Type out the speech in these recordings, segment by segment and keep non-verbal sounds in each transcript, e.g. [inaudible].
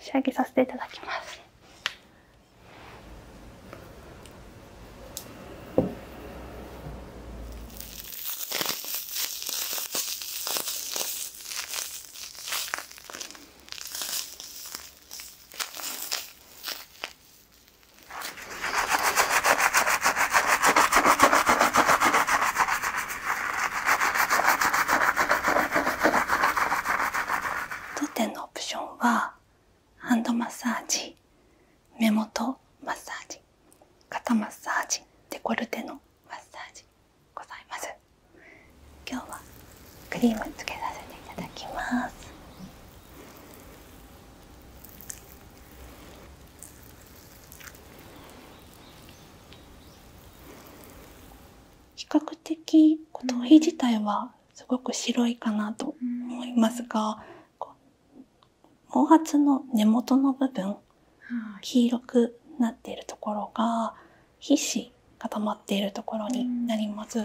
仕上げさせていただきます。当店のオプションはハンドマッサージ目元マッサージ肩マッサージデコルテのマッサージございます今日はクリームつけさせていただきます比較的頭皮自体はすごく白いかなと思いますが、毛髪の根元の部分、黄色くなっているところが皮脂固まっているところになります。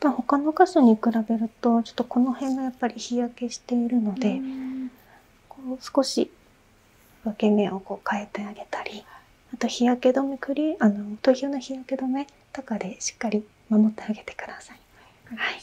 ぱ他の箇所に比べるとちょっとこの辺がやっぱり日焼けしているのでこう少し分け目をこう変えてあげたりあと日焼け止めクリあの頭皮の日焼け止めとかでしっかり守ってあげてください。はい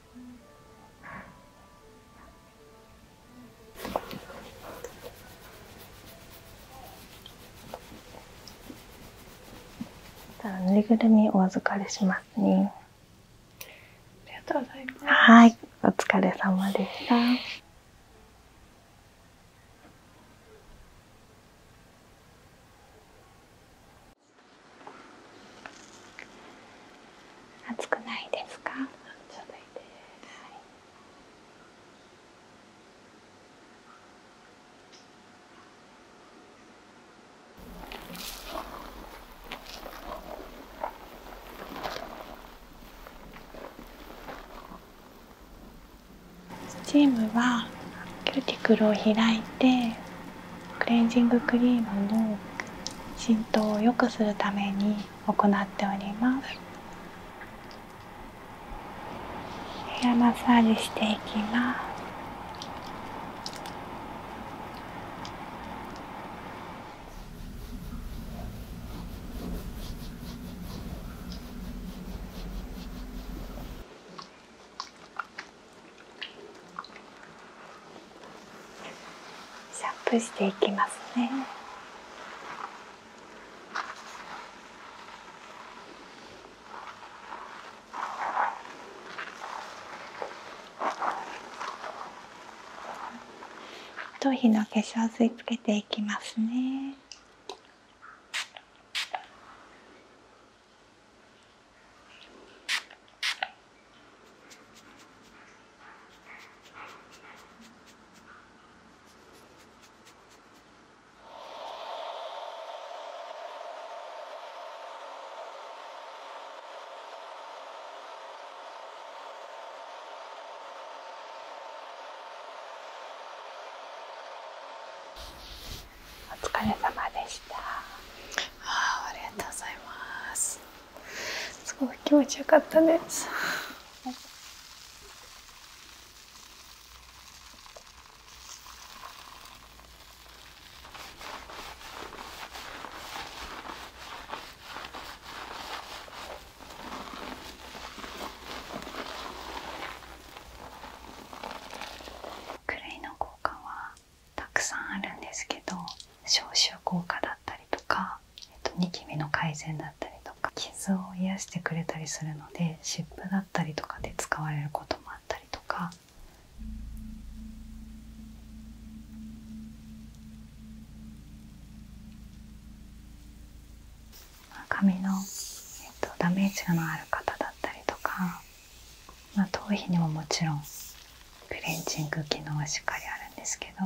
ぬいぐるみお預かりしますねありがとうございますはいお疲れ様でした暑くないですか？はい、スチームはキューティクルを開いてクレンジングクリームの浸透を良くするために行っておりますヘアマッサージしていきますシャープしていきますね。頭皮の化粧水つけていきますね。お疲れ様でした。ああ、ありがとうございます。すごい気持ちよかったです。クレの交換はたくさんあるんですけど消臭効果だったりとか、えっと、ニキビの改善だったりとか傷を癒してくれたりするので湿布だったりとかで使われることもあったりとか。髪の、えっと、ダメージのある方だったりとか、まあ、頭皮にももちろんクレンジング機能はしっかりあるんですけど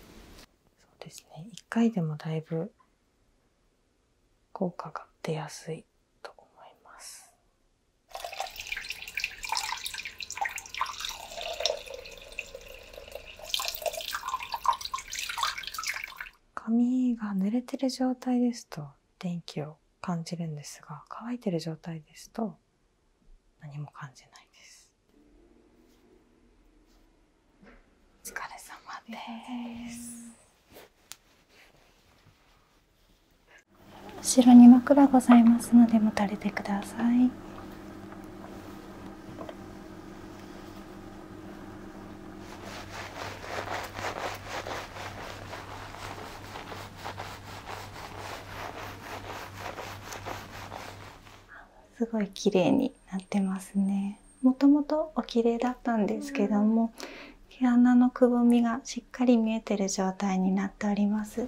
そうですね1回でもだいぶ効果が出やすいと思います髪が濡れてる状態ですと電気を感じるんですが乾いてる状態ですと何も感じないですお疲れ様です後ろに枕ございますので持たれてくださいすごい綺麗になってますねもともとお綺麗だったんですけども、毛穴のくぼみがしっかり見えてる状態になっております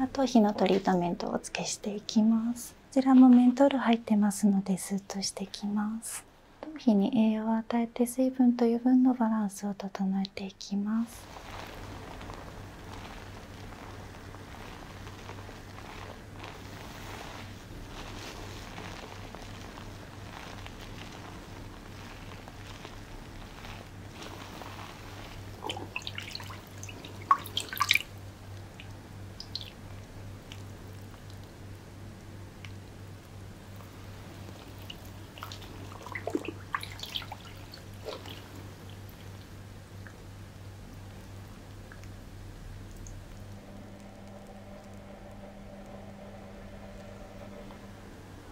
あとのトリートメントをお付けしていきますこちらもメント入ってますのでスッとしてきます頭皮に栄養を与えて水分と油分のバランスを整えていきます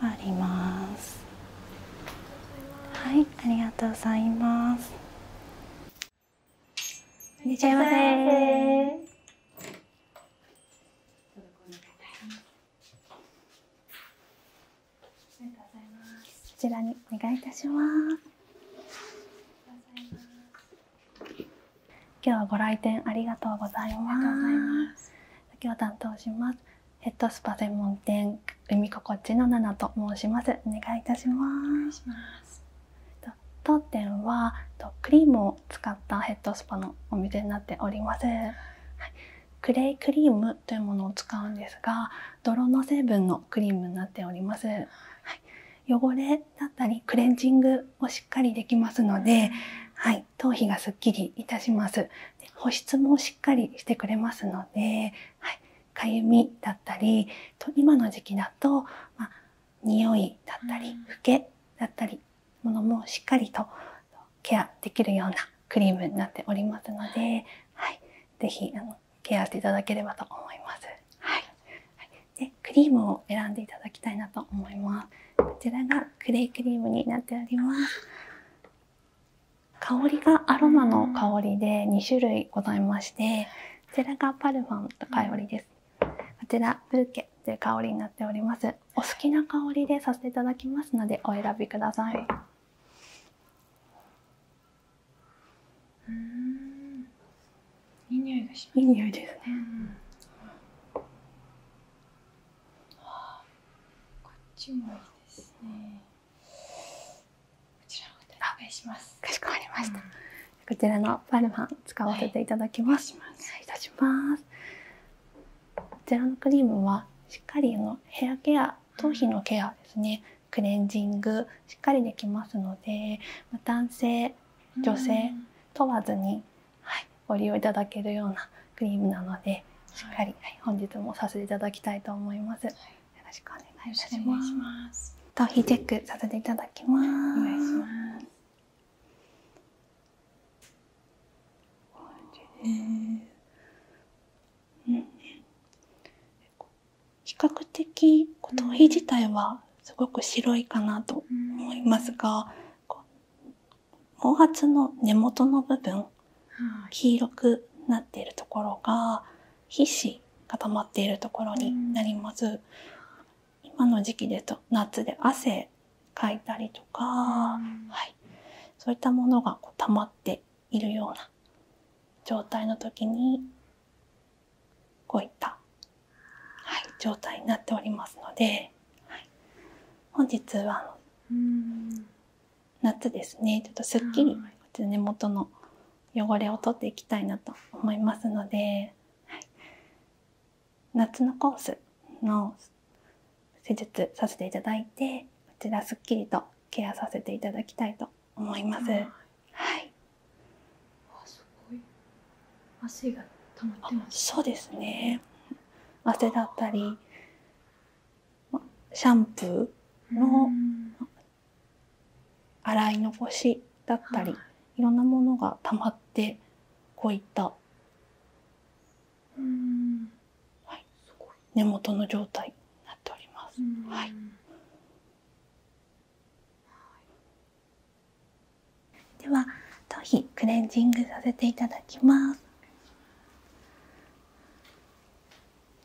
あります。はい、ありがとうございます。いらっしゃいませ。こちらにお願いいたします。今日はご来店ありがとうございます。今日担当しますヘッドスパ専門店海心地のナナと申します。お願いいたします。当店はクリームを使ったヘッドスパのお店になっております。はい、クレイクリームというものを使うんですが、泥の成分のクリームになっております。はい、汚れだったりクレンジングをしっかりできますので、はい、頭皮がすっきりいたします。保湿もしっかりしてくれますので、はい。かゆみだったりと今の時期だと、まあ、匂いだったりふけだったりものもしっかりとケアできるようなクリームになっておりますので、はい、是非あのケアしていただければと思います。はいでクリームを選んでいただきたいなと思います。こちらがクレイクリームになっております。香りがアロマの香りで2種類ございましてこちらがパルフンとブルケという香りになっておりますお好きな香りでさせていただきますのでお選びください、うんいい匂いがしますいい匂いですね、うんこっちもいいですね。ちらの方おしますかしこまりました、こちらのパルファン使わせていただきます、はい、いたしますこちらのクリームはしっかりのヘアケア頭皮のケアですね、クレンジングしっかりできますので男性女性問わずに、はい、ご利用いただけるようなクリームなのでしっかり、本日もさせていただきたいと思います。よろしくお願いします。いただきます。お願いします。比較的頭皮自体はすごく白いかなと思いますが、毛髪の根元の部分、黄色くなっているところが皮脂がまっているところになります、今の時期でと夏で汗かいたりとか、はい、そういったものがこう溜まっているような状態の時にこういった、状態になっておりますので、本日は夏ですねちょっとすっきり根元の汚れを取っていきたいなと思いますので、夏のコースの施術させていただいてこちらすっきりとケアさせていただきたいと思います。はいそうですね汗だったりシャンプーの洗い残しだったり、い、ろんなものがたまってこういった根元の状態になっております。はい、では頭皮クレンジングさせていただきます。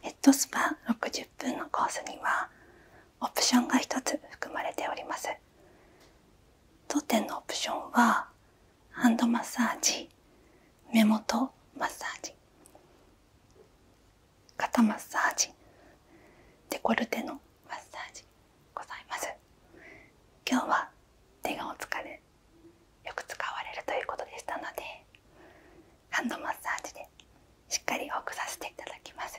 ヘッドスパ60分のコースにはオプションが1つ含まれております当店のオプションはハンドマッサージ目元マッサージ肩マッサージデコルテのマッサージ今日は手がお疲れよく使われるということでしたのでハンドマッサージでしっかり多くさせていただきます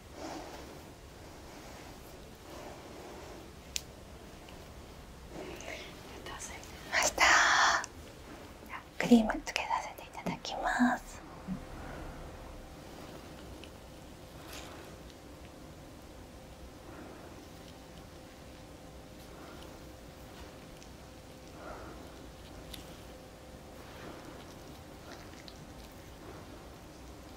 いましたクリームつけさせていただきます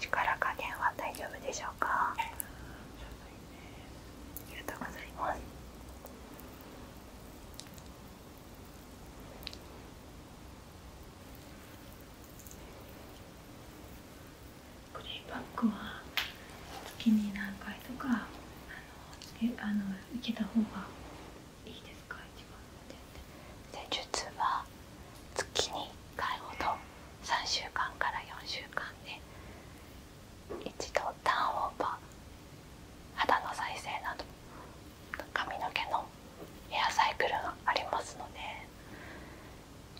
力加減は大丈夫でしょうかありがとうございますクレイバッグは月に何回とかあのえあの受けた方がいいですか一番で術は月に1回ほど3週間から4週間で一度ターンオーバー肌の再生など髪の毛のヘアサイクルがありますの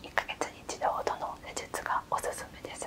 で1ヶ月に1度ほどの施術がおすすめです。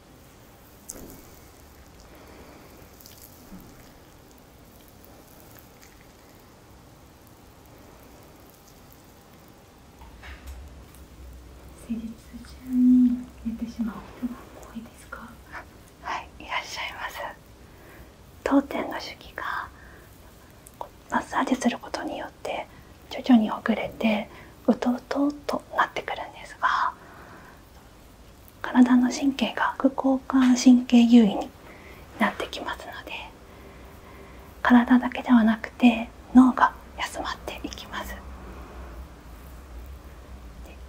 う人はいいらっしゃいます当店の手記がマッサージすることによって徐々に遅れてうとうとうとなってくるんですが体の神経が副交感神経優位になってきますので体だけではなくて脳が休まっていきます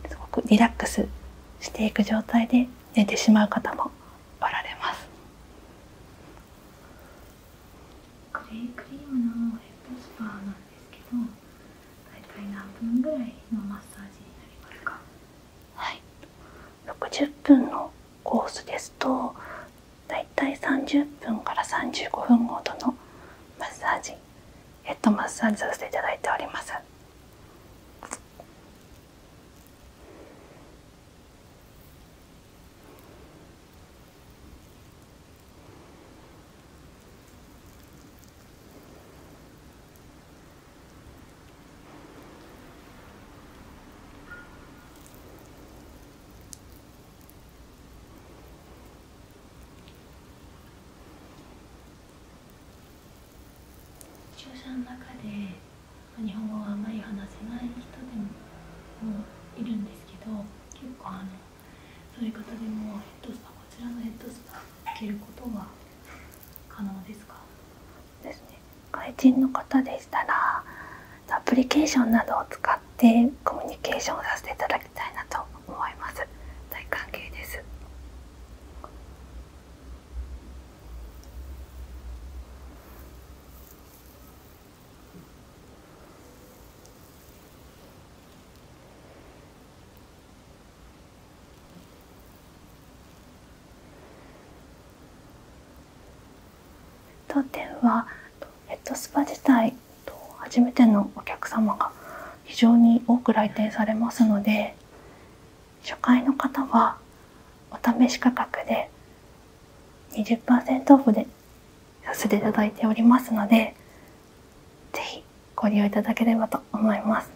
すごくリラックスしていく状態で寝てしまう方もおられますなんですけど大体何分ぐらいのマッサージになりますかはい60分のコースですとだいたい30分から35分ごとのマッサージヘッドマッサージさせていただいております視聴者の中で日本語をあまり話せない人でもいるんですけど結構あのそういう方でもヘッドスパこちらのヘッドスパ受けることは可能でですね外人の方でしたらアプリケーションなどを使ってコミュニケーションをさせていただきたいなと思います当店はヘッドスパ自体初めてのお客様が非常に多く来店されますので初回の方はお試し価格で20%オフでさせていただいておりますのでぜひご利用いただければと思います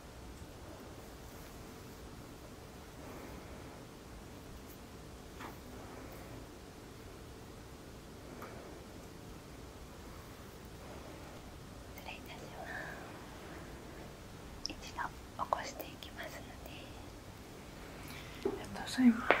失礼いたします一度起こしていきますのでありがとうございます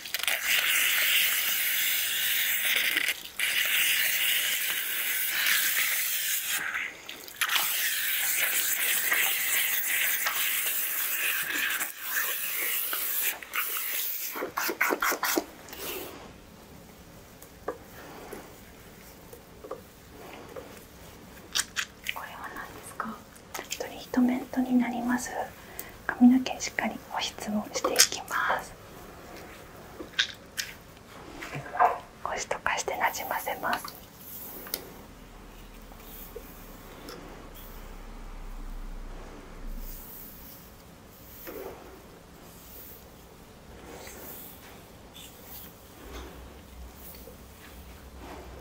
これは何ですかトリートメントになります髪の毛しっかり保湿をしていきます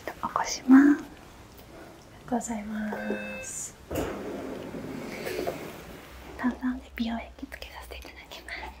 一度起こしますございます炭酸で美容液つけさせていただきます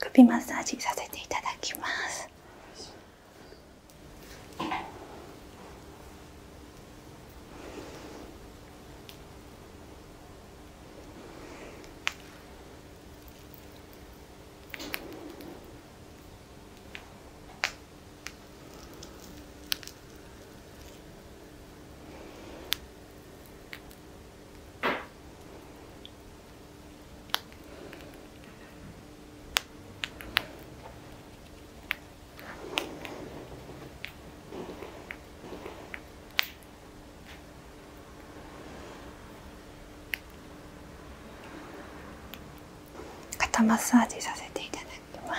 首マッサージさせていただきます肩マッサージさせていただきます。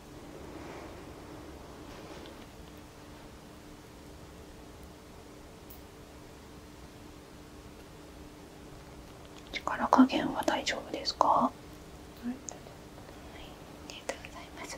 力加減は大丈夫ですか、はい、ありがとうございます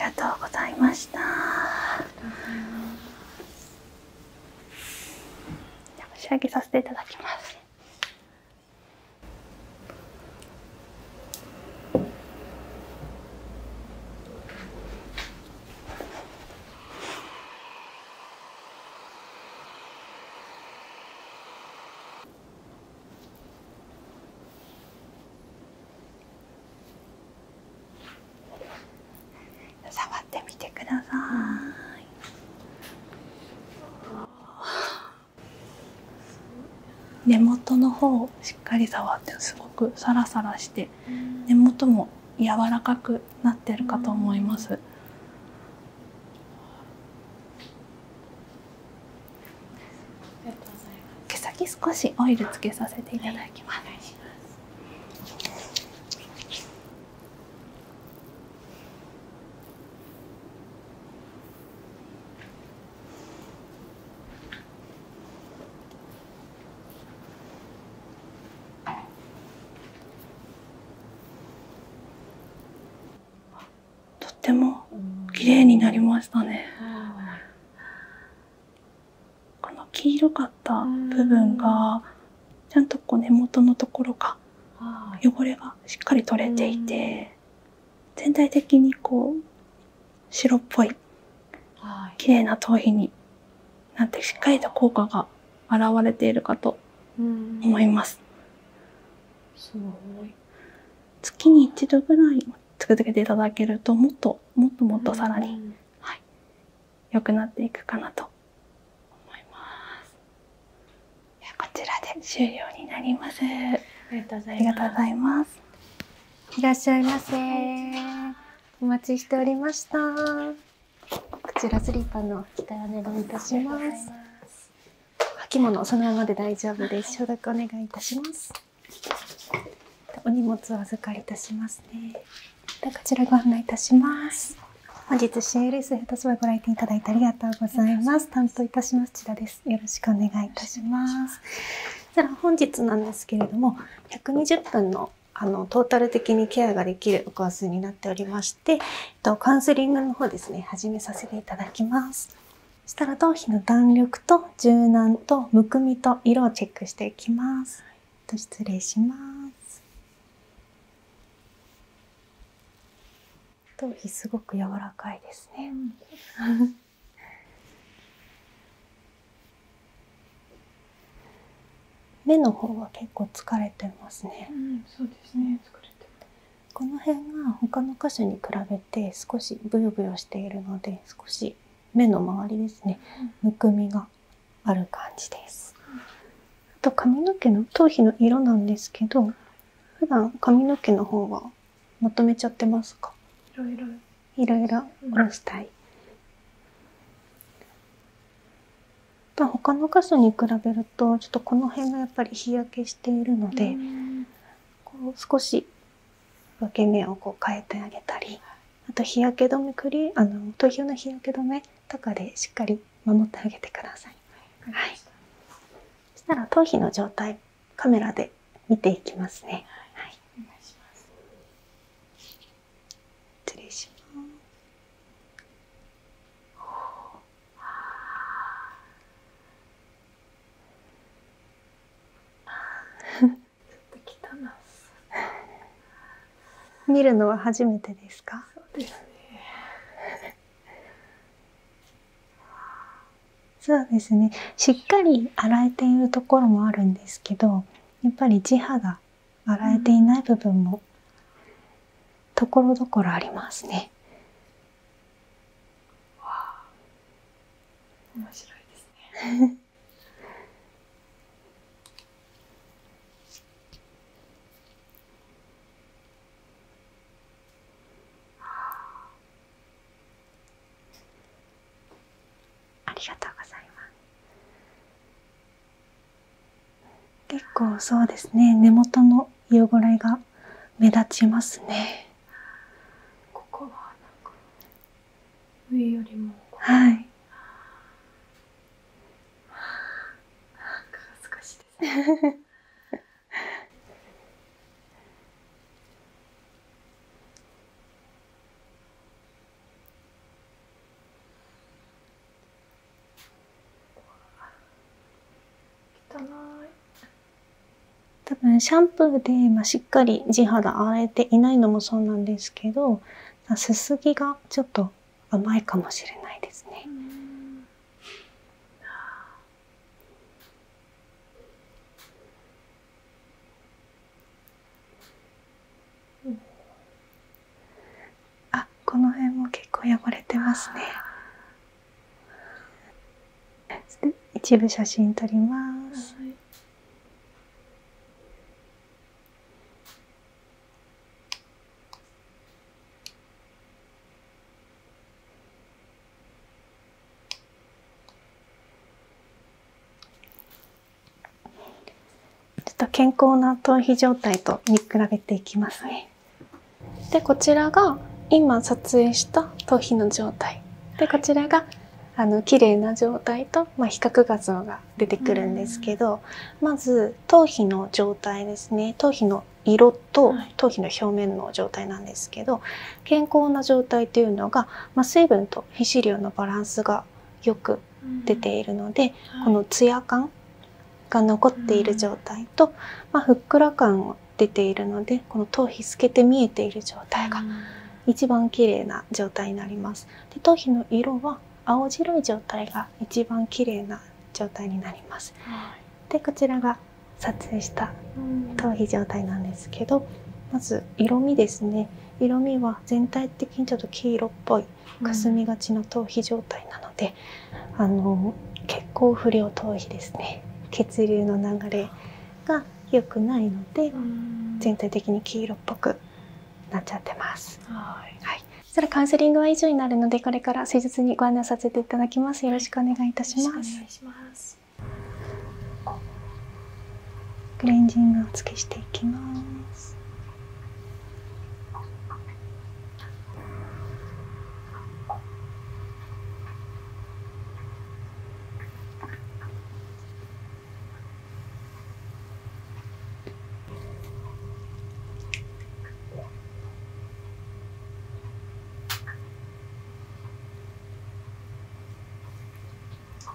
ありがとうございました。仕上げさせていただきます。触ってみてください。根元の方をしっかり触ってすごくサラサラして根元も柔らかくなってるかと思います毛先少しオイルつけさせていただきます、はい、ます。とっても綺麗になりましたね。この黄色かった部分がちゃんとこう根元のところが汚れがしっかり取れていて全体的にこう白っぽい綺麗な頭皮になってしっかりと効果が現れているかと思います。月に一度ぐらい続けていただけるともっともっともっとさらにはい、良くなっていくかなと思います。こちらで終了になります。ありがとうございます。いらっしゃいませ。お待ちしておりました。こちらスリッパの着お願いいたします。履物そのままで大丈夫です。消毒お願いいたします。お荷物お預かりいたしますね。でこちらご案内いたします。本日 CLS ヘッドスバご来店いただいてありがとうございます。担当いたします千田です。よろしくお願いいたします。したら本日なんですけれども120分のあのトータル的にケアができるコースになっておりまして、えっと、カウンセリングの方ですね始めさせていただきますしたら頭皮の弾力と柔軟とむくみと色をチェックしていきます、失礼します頭皮すごく柔らかいですね目の方は結構疲れてますね。そうですね。疲れてまこの辺が他の箇所に比べて少しブヨブヨしているので、少し目の周りですね。むくみがある感じです。あと髪の毛の頭皮の色なんですけど、普段髪の毛の方はまとめちゃってますかいろいろいろいろ下ろしたい、まあ、他の箇所に比べるとちょっとこの辺がやっぱり日焼けしているのでこう少し分け目をこう変えてあげたりあと日焼け止めクリあの頭皮の日焼け止めとかでしっかり守ってあげてください。はい、したら頭皮の状態カメラで見ていきますね。[laughs] 見るのは初めてですか。そうですね。そうですねしっかり洗えているところもあるんですけどやっぱり地肌洗えていない部分もところどころありますね。わ面白いですね。[laughs] ありがとうございます結構そうですね根元の色ごれが目立ちますねここはなんか上よりもはいあんか恥ずかしいですね汚い多分シャンプーで、まあ、しっかり地肌洗えていないのもそうなんですけどすすぎがちょっと甘いかもしれないですね。うん、あこの辺も結構汚れてますね一部写真撮ります、ちょっと健康な頭皮状態と見比べていきますね。でこちらが今撮影した頭皮の状態でこちらがあの綺麗な状態と、ま比較画像が出てくるんですけど、まず頭皮の状態ですね頭皮の色と頭皮の表面の状態なんですけど健康な状態というのが、まあ、水分とと皮脂量のバランスがよく出ているので、このツヤ感が残っている状態と、まふっくら感を出ているのでこの頭皮透けて見えている状態が一番綺麗な状態になります。で頭皮の色は青白い状態が一番綺麗な状態になります。でこちらが撮影した頭皮状態なんですけどまず色味ですね。色味は全体的にちょっと黄色っぽい霞みがちの頭皮状態なので、あの血行不良頭皮ですね血流の流れが良くないので、全体的に黄色っぽくなっちゃってます。はい、はいそれカウンセリングは以上になるのでこれから施術にご案内させていただきます。よろしくお願いいたします。クレンジングをつけしていきます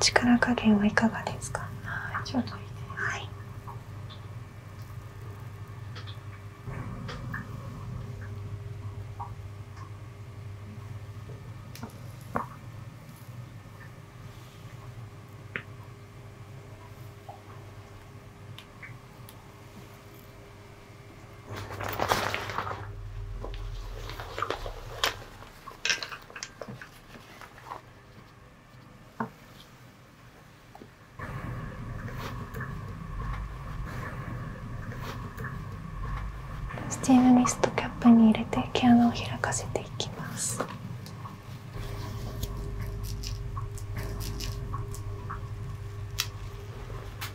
力加減はいかがですかはい。スチームミストキャップに入れて毛穴を開かせていきます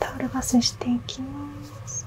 タオルバスしていきます。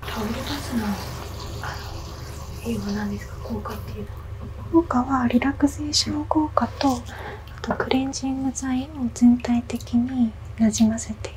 タオルバスのあの英ですか効果っていうのは効果はリラクゼーション効果とあとクレンジング剤を全体的になじませていく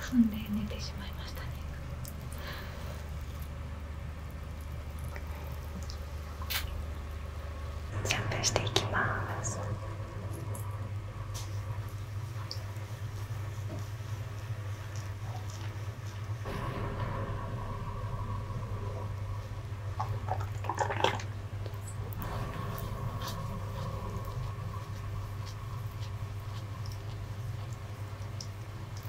踏んで寝てしまいましたねシャンプしていきます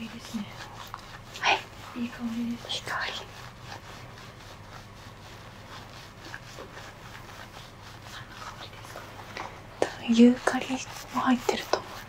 いいですね。はい。いい香りです。いい香り。多分ユーカリも入ってると思います。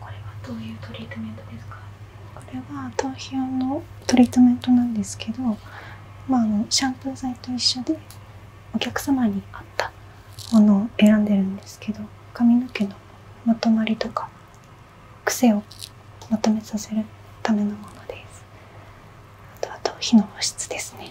これはどういうトリートメントですかこれは頭皮用のトリートメントなんですけど、シャンプー剤と一緒でお客様に合ったものを選んでるんですけど髪の毛のまとまりとか癖をまとめさせるためのものですあとあと火の保湿ですね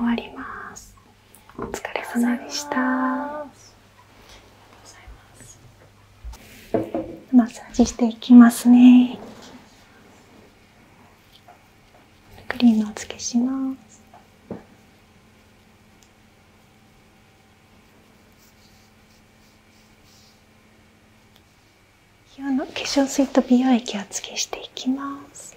終わります。お疲れ様でしたマッサージしていきますねクリームをつけします化粧水と美容液をつけしていきます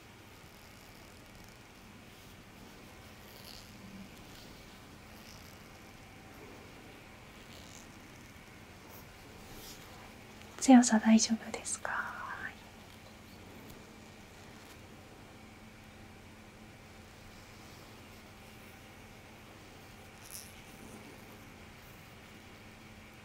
強さ大丈夫ですかはい。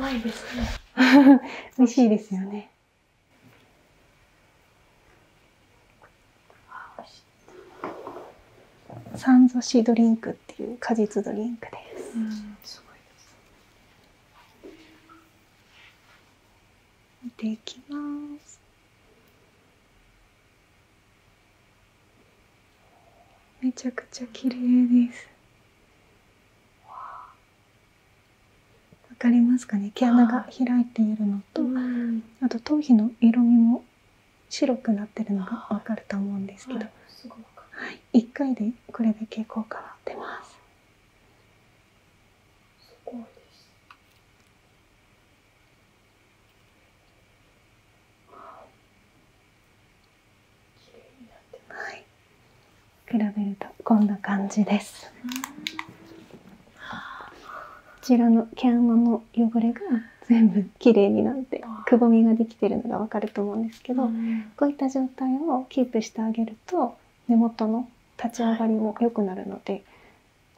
甘いですね。[laughs] 美味しいですよね。サンゾシドリンクっていう果実ドリンクです。見ていきます。めちゃくちゃ綺麗です。わかりますかね？毛穴が開いているのと、あと頭皮の色味も白くなってるのが分かると思うんですけど、は回でこれだけ効果は出ます。すごいです、はい、比べるとこんな感じです。こちらの毛穴の汚れが全部きれいになってくぼみができてるのが分かると思うんですけど、こういった状態をキープしてあげると根元の立ち上がりも良くなるので、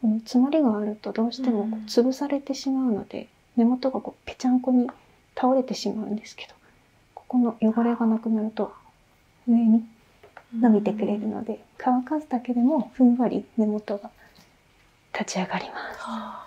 この詰まりがあるとどうしてもこう潰されてしまうので、根元がこうぺちゃんこに倒れてしまうんですけどここの汚れがなくなると上に伸びてくれるので、乾かすだけでもふんわり根元が立ち上がります。あ、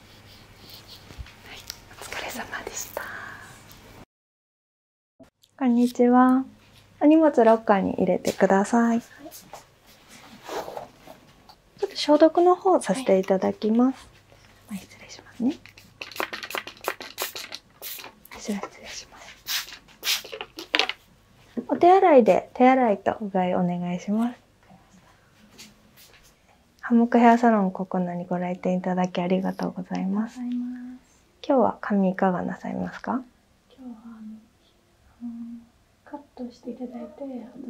お疲れ様でしたこんにちはお荷物ロッカーに入れてください、ちょっと消毒の方させていただきます、はい、失礼しますね失礼しますお手洗いで手洗いとうがいお願いしますハモックヘアサロンココナにご来店いただきありがとうございます。今日は髪いかがなさいますか？カットしていただいて、後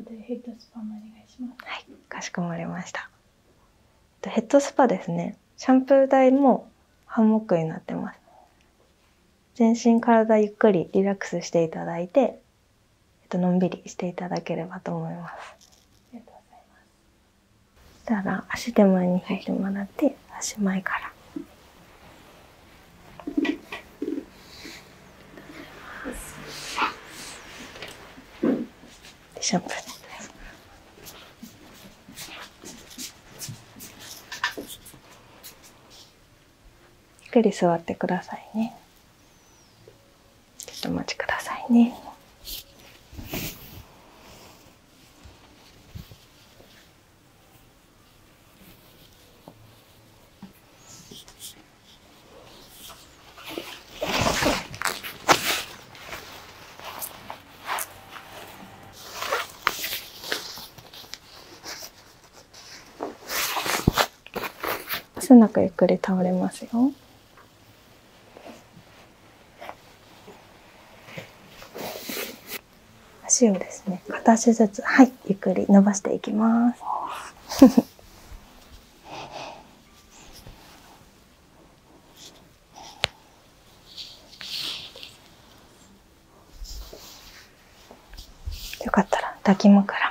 でヘッドスパお願いします。はい、かしこまりました。ヘッドスパですね。シャンプー台もハンモックになってます。全身体ゆっくりリラックスしていただいて、えっと、のんびりしていただければと思います。たら足手前に引いてもらって、足前から。シャンプーゆっくり座ってくださいね。ちょっとお待ちくださいね。すなくゆっくり倒れますよ。足をですね、片足ずつ、はい、ゆっくり伸ばしていきます。[laughs] よかったら抱き枕も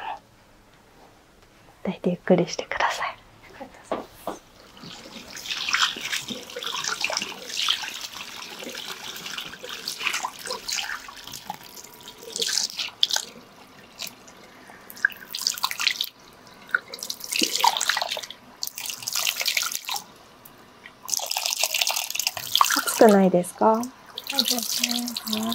抱いゆっくりしてください。暑くないですか？そうですね。はい。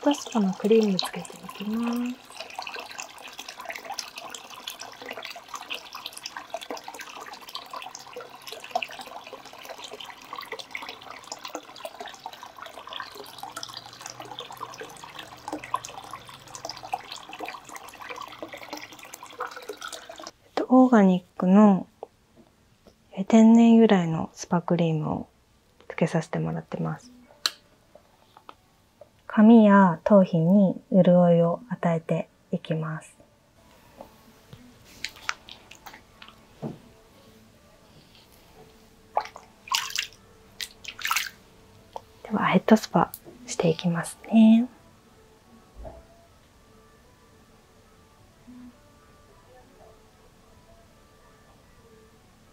パスタのクリームつけていきます。ね。オーガニックの天然由来のスパクリームをつけさせてもらってます。髪や頭皮に潤いを与えていきます。ではヘッドスパしていきますね。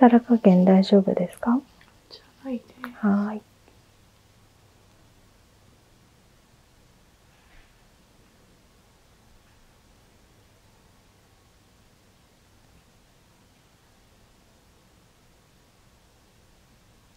力加減大丈夫ですかはい。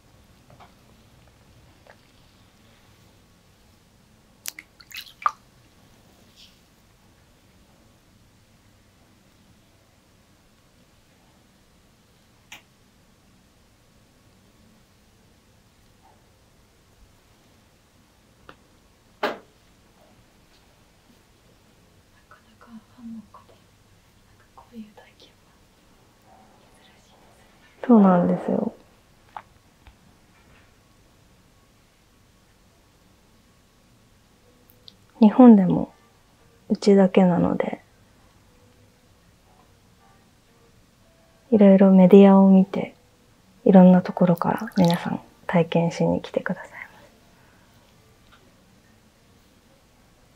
なかなかファンも。こういう体験はそうなんですよ。日本でもうちだけなので、いろいろメディアを見て、いろんなところから皆さん体験しに来てください。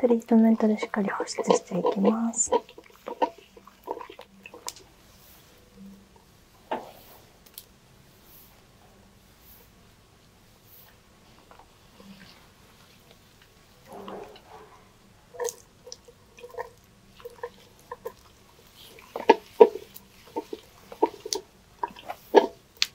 トリートメントでしっかり保湿していきます。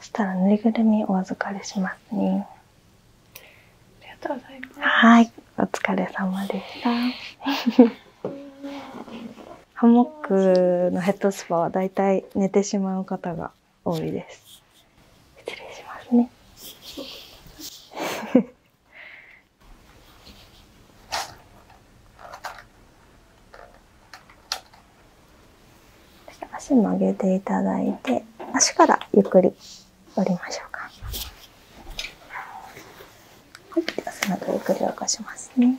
そしたらぬいぐるみお預かりしますね。ありがとうございます。はい。お疲れ様でした [laughs] ハモックのヘッドスパはだいたい寝てしまう方が多いです失礼しますね足 [laughs] 曲げていただいて足からゆっくり折りましょうかはい、そのぐるぐる起こしますね。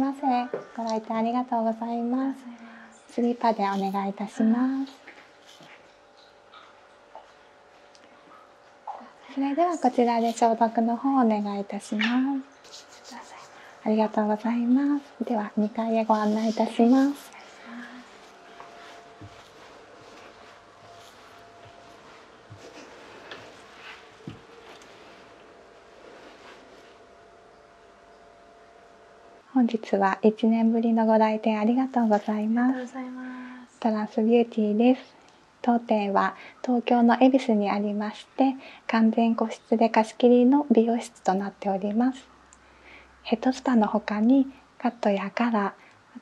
ませ。ご来店ありがとうございます。スリーパーでお願いいたしますそれではこちらで消毒の方お願いいたしますありがとうございますでは2階へご案内いたします本日は1年ぶりのご来店ありがとうございますトランスビューティーです当店は東京の恵比寿にありまして完全個室で貸切の美容室となっておりますヘッドスパの他にカットやカラーあ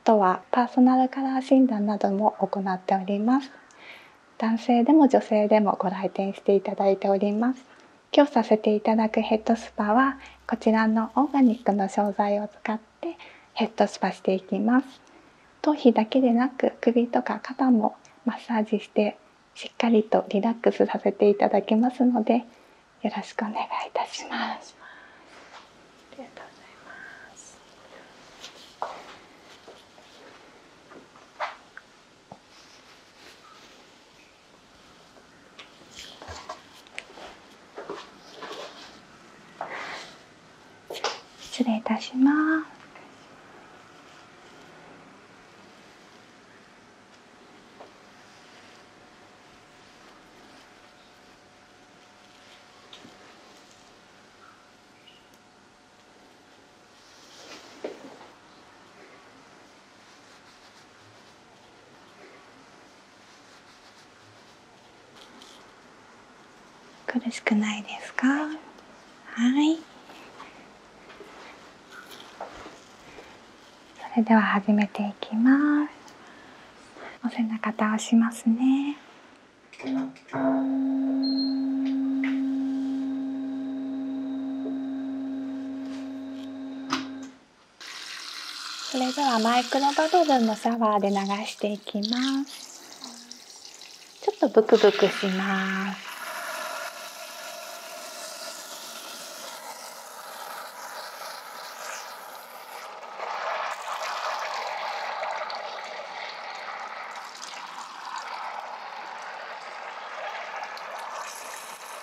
とはパーソナルカラー診断なども行っております男性でも女性でもご来店していただいております今日させていただくヘッドスパはこちらのオーガニックの商材を使ってヘッドスパしていきます頭皮だけでなく首とか肩もマッサージしてしっかりとリラックスさせていただきますのでよろしくお願いいたしますありがとうございます失礼いたします。苦しくないですかはいそれでは始めていきますお背中倒しますねそれではマイクロバブルのシャワーで流していきますちょっとブクブクします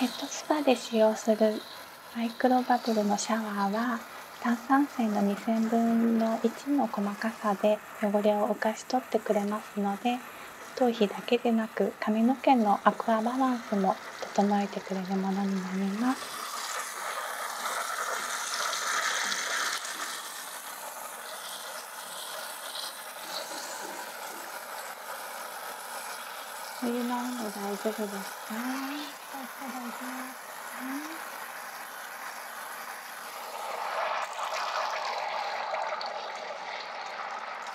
ヘッドスパで使用するマイクロバブルのシャワーは炭酸水の2000分の1の細かさで汚れを浮かし取ってくれます。ますので頭皮だけでなく髪の毛のアクアバランスも整えてくれるものになります。お湯の温大丈夫ですか、ね、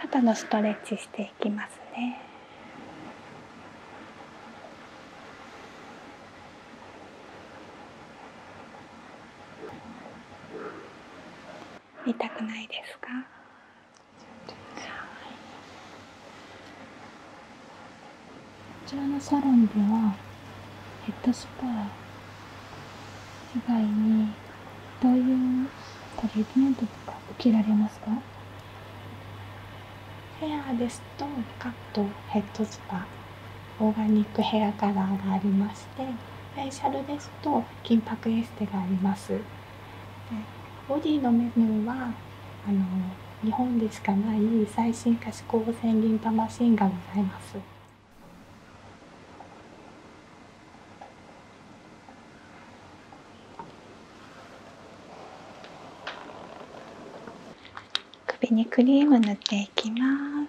肩のストレッチしていきますね。見たくないですかこちらのサロンではヘッドスパ以外にどういうトリーメントとか受けられますかヘアですとカットヘッドスパオーガニックヘアカラーがありましてフェイシャルですと金箔エステがありますボディのメニューはあの日本でしかない最新可視光線リンシンがございます首にクリーム塗っていきます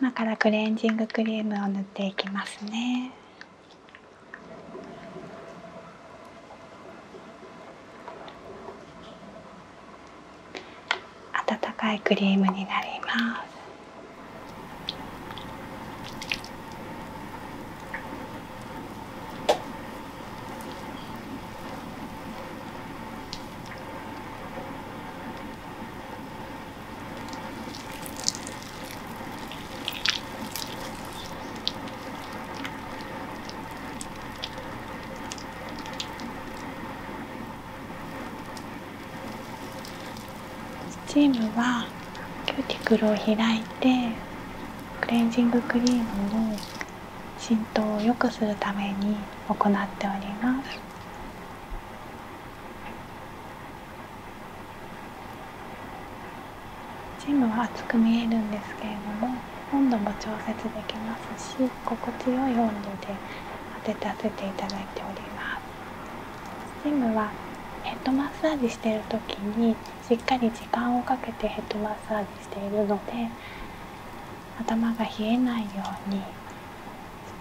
今からクレンジングクリームを塗っていきますね。温かいクリームになります。スチームはキューティクルを開いてクレンジングクリームの浸透を良くするために行っております。全ムは厚く見えるんですけれども温度も調節できますし心地よい温度で当てさせていただいておりますスチームはヘッドマッサージしている時にしっかり時間をかけてヘッドマッサージしているので頭が冷えないように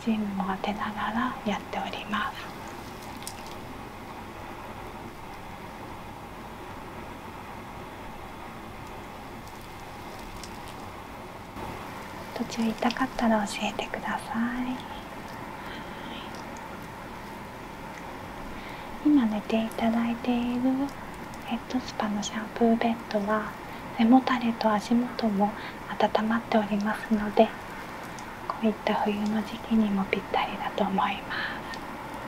スチームも当てながらやっております途中痛かったら教えてください今寝ていただいているヘッドスパのシャンプーベッドは背もたれと足元も温まっておりますのでこういった冬の時期にもぴったりだと思います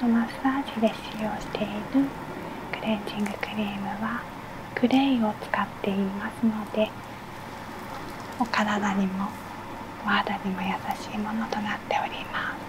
このマッサージで使用しているクレンジングクリームはグレイを使っていますのでお体にもお肌にも優しいものとなっております。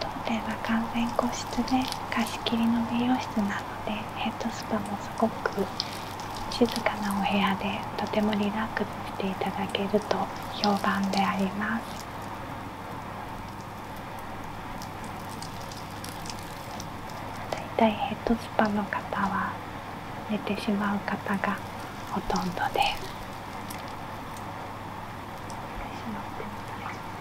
当店は完全個室で貸し切りの美容室なのでヘッドスパもすごく静かなお部屋でとてもリラックスしていただけると評判であります大体ヘッドスパの方は寝てしまう方がほとんどです。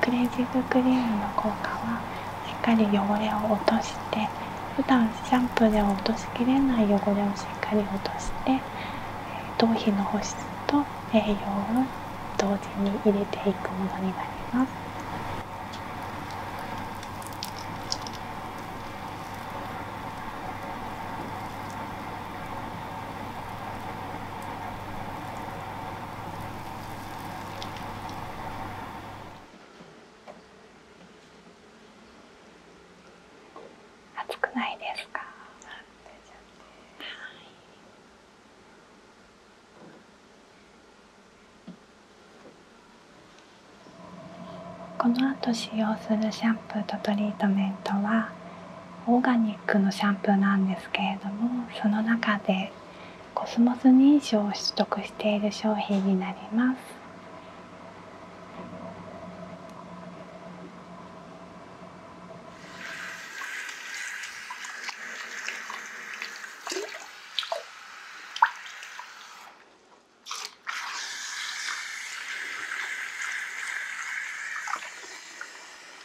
クレンジーズクリームの効果はしっかり汚れを落として普段シャンプーでは落としきれない汚れをしっかり落として頭皮の保湿と栄養を同時に入れていくものになります。暑くないですか。この後使用するシャンプーとトリートメントはオーガニックのシャンプーなんですけれどもその中でコスモス認証を取得している商品になります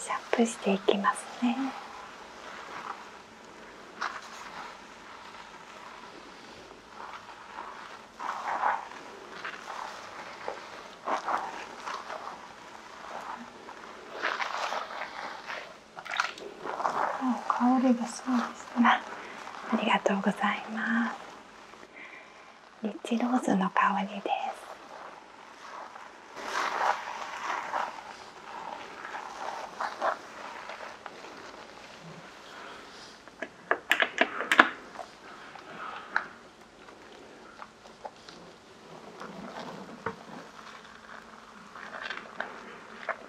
シャープしていきますね。香りがすごい。ありがとうございます。リッチローズの香りです。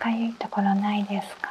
かゆいところないですか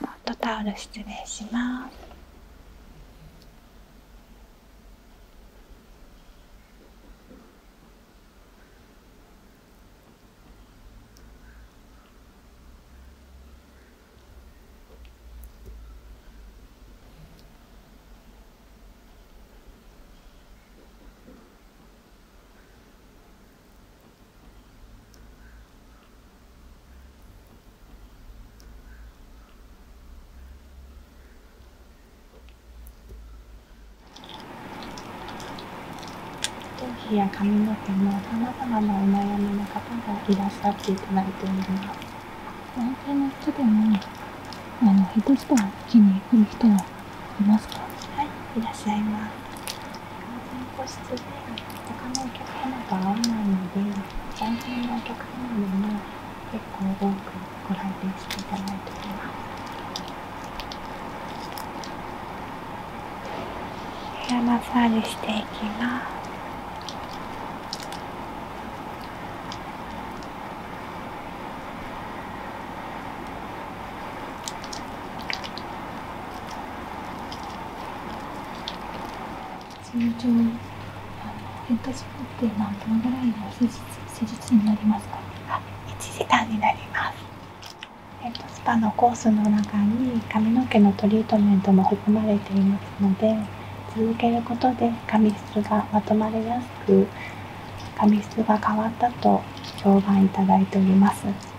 ホットタオル失礼します頭皮や髪の毛のさまざまなお悩みの方がいらっしゃっていただいております男性の人でもあのヘッドスパを受けに来る人はいますかはいいらっしゃいます全個室で他のお客様と会わないので残念なお客様にも結構多くご来店していただいておりますヘアマッサージしていきます通常あのヘッドスパって何分ぐらいの手術になりますか1時間になりますヘッドスパのコースの中に髪の毛のトリートメントも含まれていますので続けることで髪質がまとまりやすく髪質が変わったと評判いただいております。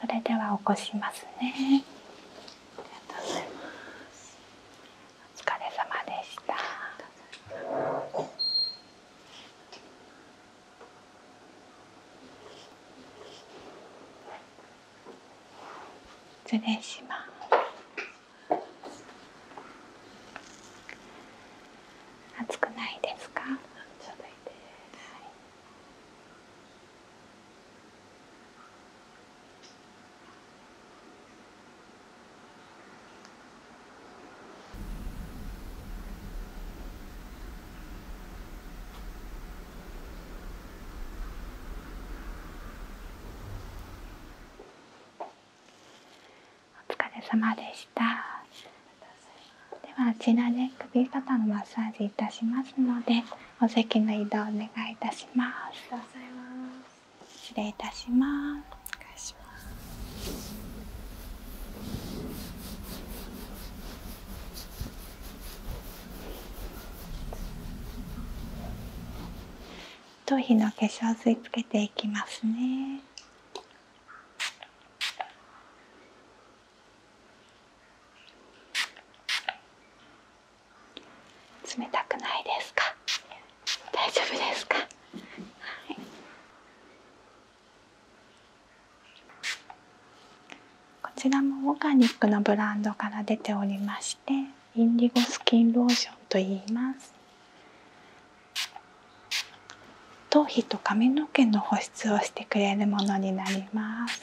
それでは起こしますねいまお疲れ様でした暑くないですかお疲れ様でした。ではあちらで首肩のマッサージいたしますのでお席の移動お願いいたします。失礼いたします。頭皮の化粧水つけていきますね。冷たくないですか大丈夫ですか、こちらもオーガニックのブランドから出ておりましてインディゴスキンローションと言います頭皮と髪の毛の保湿をしてくれるものになります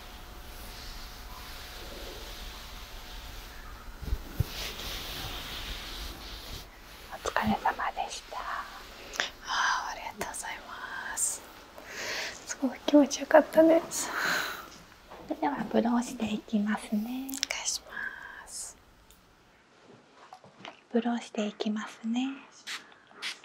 お疲れ様でしたあありがとうございますすごい気持ちよかったでではブローしていきますねブローしていきますね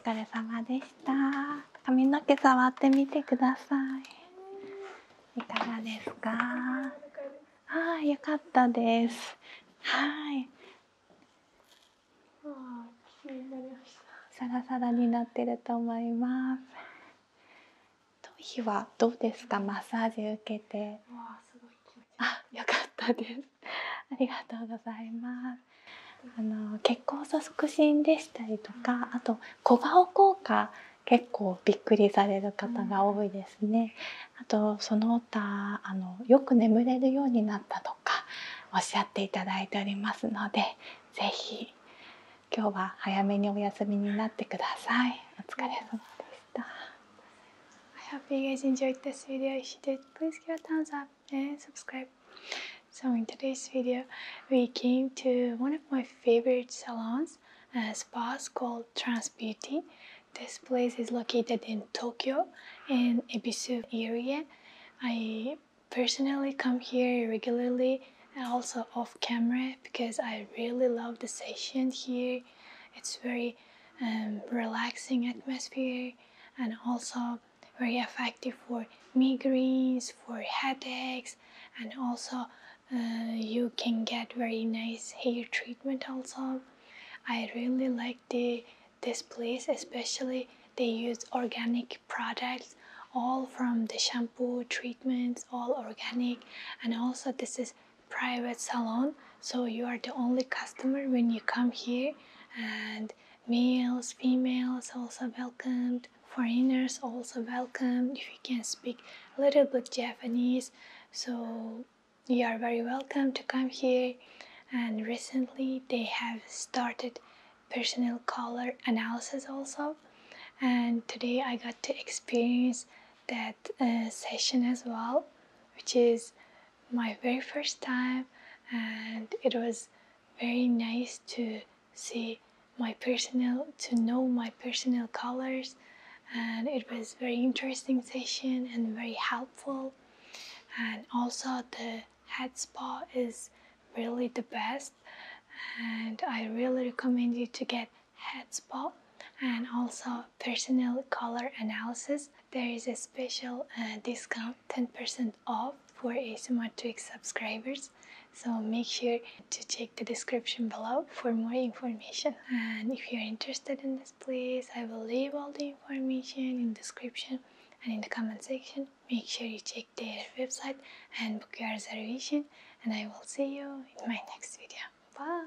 お疲れ様でした。髪の毛触ってみてください。いかがですかはい、よかったですはいサラサラになってると思います頭はどうですかマッサージ受けてあ、よかったですありがとうございますあの血行素促進でしたりとかあと小顔効果結構びっくりされる方が多いですね。うん、あとその他あのよく眠れるようになったとかおっしゃっていただいておりますので是非今日は早めにお休みになってください。お疲れ様でした。I hope you guys enjoyed this video. If you did, please give a thumbs up and subscribe. So in today's video, we came to one of my favorite salons. a spa called Trans Beauty. This place is located in Tokyo in Ebisu area. I personally come here regularly also off camera because I really love the session here. It's very um, relaxing atmosphere and also very effective for migraines, for headaches, and also uh, you can get very nice hair treatment also I really like the this place especially they use organic products all from the shampoo treatments all organic and also this is private salon so you are the only customer when you come here and males females also welcomed foreigners also welcomed if you can speak a little bit Japanese so you are very welcome to come here and recently they have started personal color analysis also and today I got to experience that uh, session as well which is my very first time and it was very nice to see my personal to know my personal colors and it was very interesting session and very helpful and also the head spa is really the best and I really recommend you to get head spa and also personal color analysis there is a special uh, discount 10% off for ASMR Twig subscribers so make sure to check the description below for more information and if you're interested in this place I will leave all the information in description and in the comment section make sure you check their website and book your reservation and I will see you in my next video bye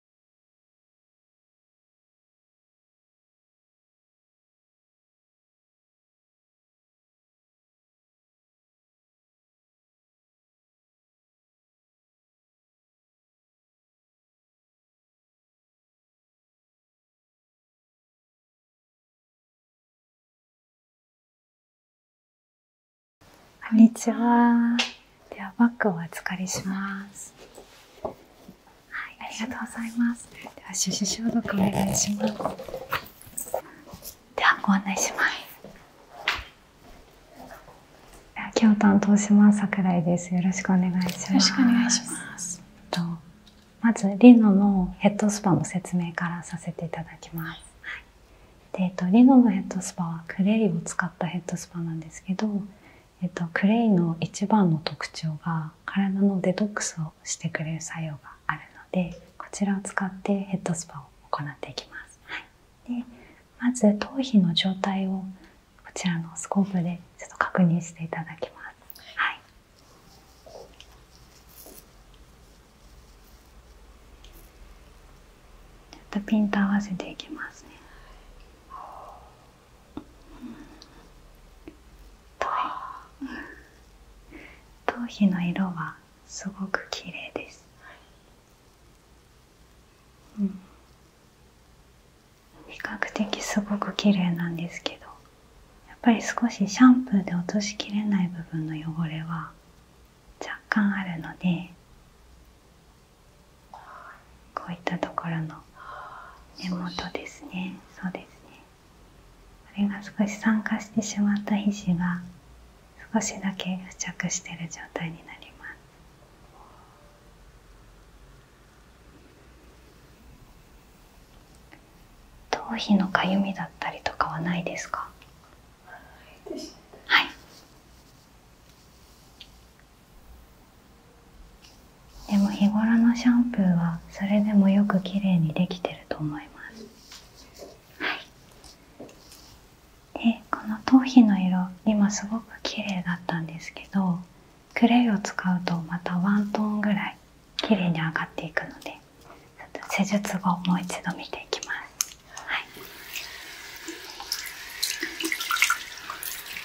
こんにちは。ではバッグをお預かりします。はい、ありがとうございます。では手指消毒お願いします。ではご案内します。今日担当します桜井です。よろしくお願いします。まずリノのヘッドスパの説明からさせていただきます。えっとリノのヘッドスパはクレイを使ったヘッドスパなんですけど。えっと、クレイの一番の特徴が体のデトックスをしてくれる作用があるのでこちらを使ってヘッドスパを行っていきます、はい、でまず頭皮の状態をこちらのスコープでちょっと確認していただきます、はい、ちょっとピンと合わせていきますね頭皮の色はすごく綺麗です、うん、比較的すごく綺麗なんですけどやっぱり少しシャンプーで落としきれない部分の汚れは若干あるのでこういったところの根元ですねそうですねあれが少し酸化してしまった皮脂が少しだけ付着している状態になります頭皮のかゆみだったりとかはないですかはいでも日頃のシャンプーはそれでもよくきれいにできてると思いますはいでこの頭皮の色今すごくきれいだったんですけどクレイを使うとまたワントーンぐらいきれいに上がっていくのでちょっと施術後もう一度見ていきますはい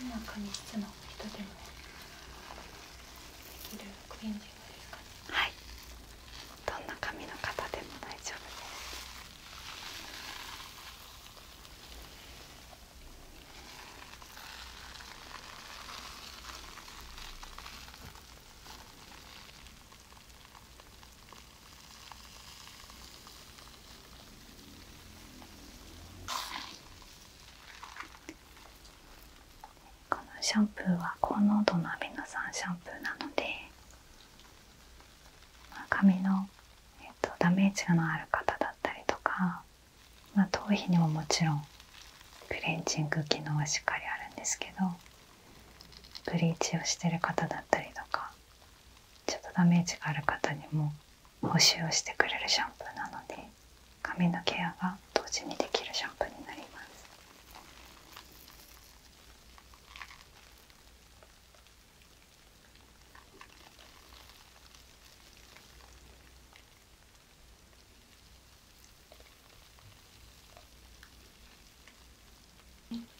どんなに室の人でもできるクレンジングでうかはいどんな髪の方でも大丈夫ですはい、このシャンプーは高濃度のアミノ酸シャンプーなので、ま髪の、えっと、ダメージがある方だったりとか、ま頭皮にももちろんクレンジング機能はしっかりあるんですけどブリーチをしてる方だったりとかちょっとダメージがある方にも補修をしてくれるシャンプーなので髪のケアが同時にできるシャンプーになります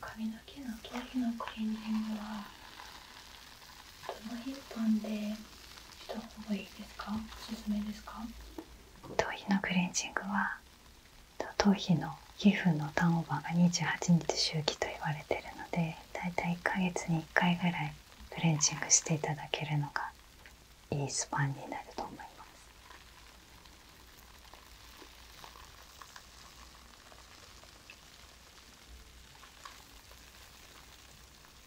髪の毛の毛のクリーニングは頭皮のクレンジングは頭皮の皮膚のターンオーバーが28日周期と言われているのでだいたい1ヶ月に1回ぐらいクレンジングしていただけるのがいいスパンになると思います。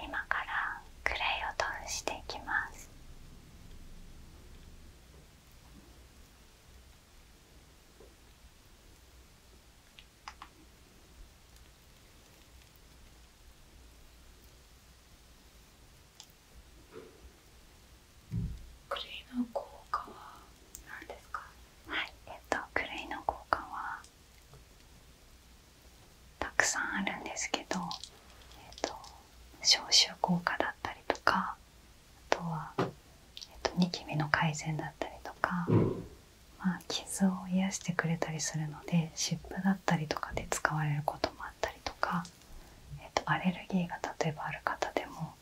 今からクレイを通していきます。クレイの効果ははいえっとクレイの効果はたくさんあるんですけど、えっと、消臭効果だったりとかあとは、えっと、ニキビの改善だったりとかまあ、傷を癒してくれたりするので湿布だったりとかで使われることもあったりとか、えっと、アレルギーが例えばある方でも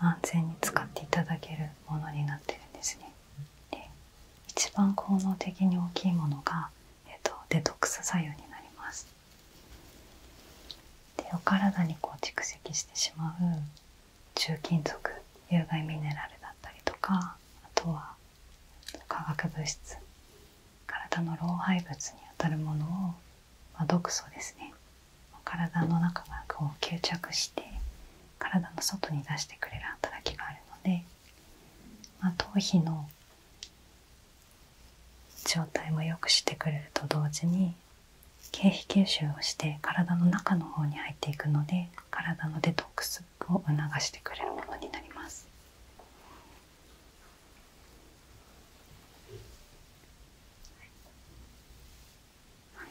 安全に使っていただけるものになってるんですね。で一番効能的に大きいものが、えっと、デトックス作用になります。でお体にこう蓄積してしまう重金属有害ミネラルだったりとかあとは化学物質体の老廃物にあたるものを、ま毒素ですね体の中がこう吸着して体の外に出してくれる働きがあるので、ま頭皮の状態も良くしてくれると同時に経費吸収をして体の中の方に入っていくので体のデトックスを促してくれるものになります。はい、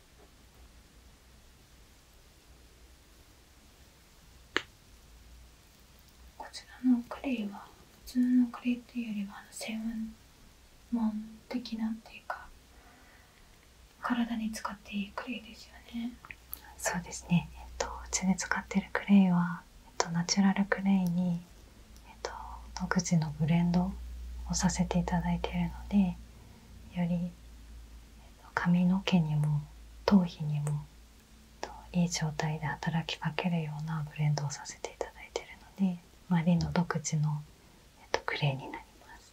こちらのクレイは普通のクレイっていうよりは専門的なっていうか体に使っていいクレイですよねそうですねえっとうちで使ってるクレイは、えっと、ナチュラルクレイに、えっと、独自のブレンドをさせていただいているのでより髪の毛にも頭皮にもいい状態で働きかけるようなブレンドをさせていただいているのでマリの独自の、えクレーになります。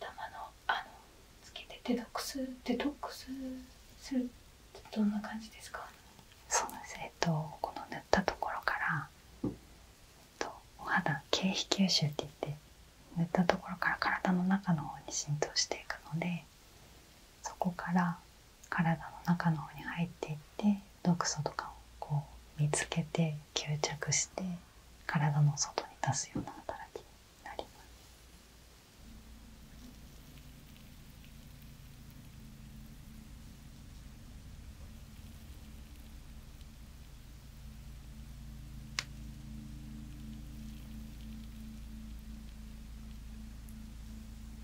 頭のあのつけてデトックスデトックスするどんな感じですかそうですえっとこの塗ったところから、えっと、お肌経皮吸収っていって塗ったところから体の中の方に浸透していくのでそこから体の中の方に入っていって毒素とかをこう見つけて吸着して体の外に出すような働きになります。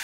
♪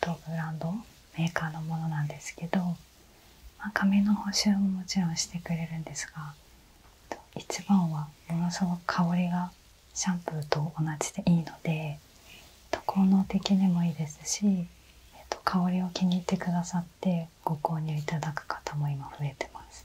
当ブランドメーカーのものなんですけど、まあ、髪の補修ももちろんしてくれるんですが一番はものすごく香りがシャンプーと同じでいいので効能的にもいいですし、えっと、香りを気に入ってくださってご購入いただく方も今増えてます。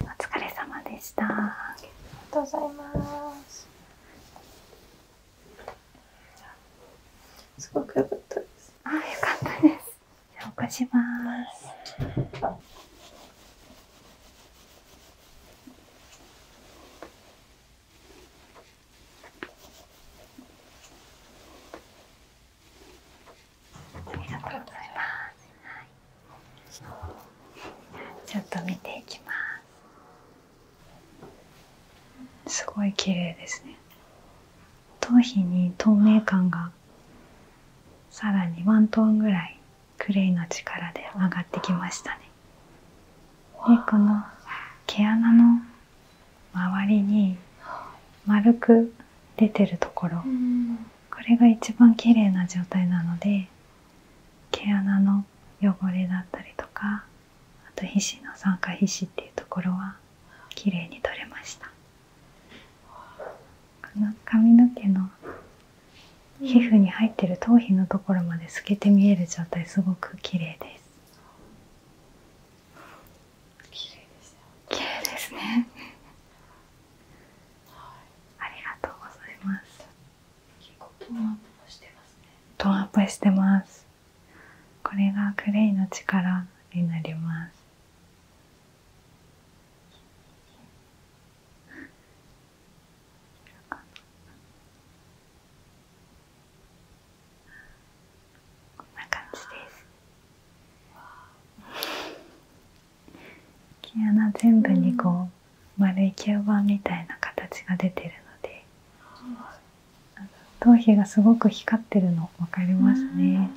お疲れ様でした。ありがとうございます。すごく良かったです。あ、良かったです。起こします。ありがとうございます。ちょっと見ていきます。すごい綺麗ですね。頭皮に透明感ががさらにワントーンぐらいクレイの力で上がってきましたね。でこの毛穴の周りに丸く出てるところこれが一番綺麗な状態なので毛穴の汚れだったりとかあと皮脂の酸化皮脂っていうところは綺麗に取れました。この髪の毛の皮膚に入ってる頭皮のところまで透けて見える状態すごく綺麗です綺麗でですねありがとうございますトーンアップしてますこれがクレイの力になりますこんな感じです毛穴全部にこう、丸い吸盤みたいな形が出てるので頭皮がすごく光ってるの分かりますね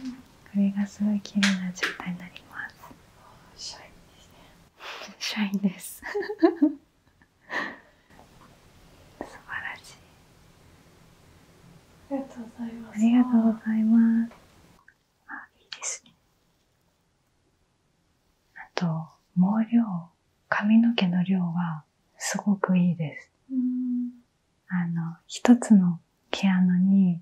これがすごい綺麗な状態になりますシャインですねシャインです素晴らしいありがとうございますあいいですねあと毛量髪の毛の量はすごくいいですあの一つの毛穴に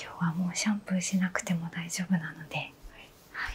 今日はもうシャンプーしなくても大丈夫なので、はい、はい、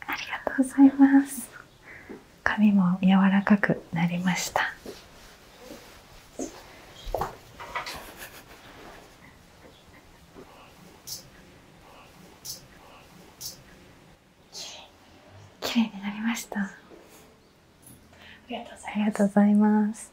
ありがとうございます髪も柔らかくなりました綺麗になりましたありがとうございます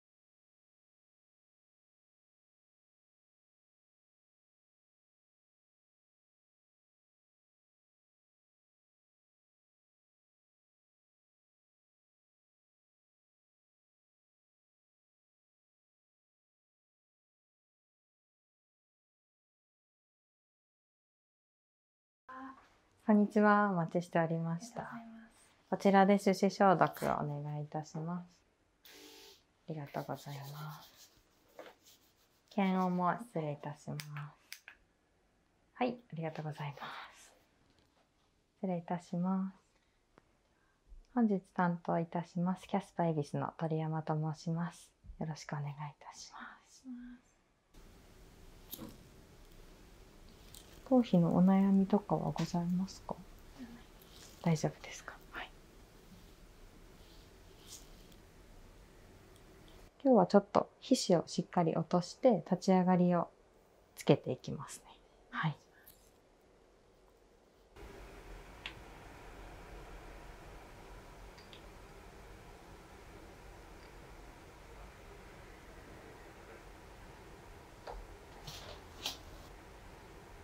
こんにちは。お待ちしておりました。こちらで手指消毒をお願いいたします。ありがとうございます。はい、ありがとうございます。失礼いたします。本日担当いたします、キャスパイビスの鳥山と申します。よろしくお願いいたします。頭皮のお悩みとかはございますか大丈夫ですかはい。今日はちょっと皮脂をしっかり落として立ち上がりをつけていきますね。はい。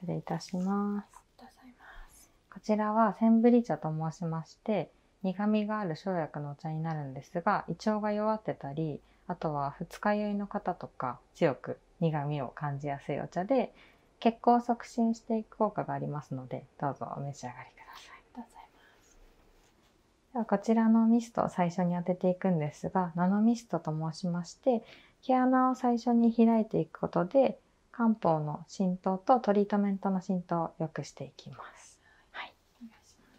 失礼いたします。こちらはセンブリ茶と申しまして苦みがある生薬のお茶になるんですが胃腸が弱ってたりあとは二日酔いの方とか強く苦味を感じやすいお茶で血行を促進していく効果がありますのでどうぞお召し上がりください。ありとございますではこちらのミストを最初に当てていくんですがナノミストと申しまして毛穴を最初に開いていくことで漢方の浸透とトリートメントの浸透を良くしていきます。はい、お願いします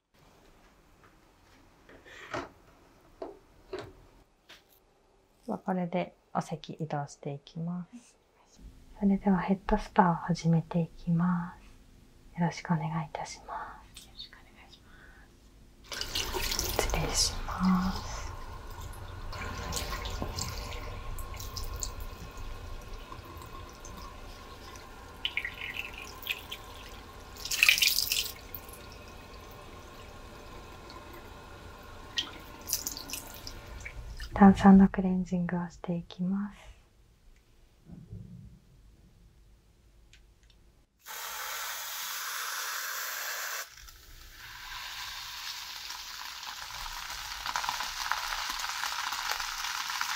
は [laughs] これでお席移動していきます。それではヘッドスパを始めていきます。よろしくお願いいたします。失礼します。炭酸のクレンジングをしていきます。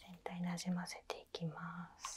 全体なじませていきます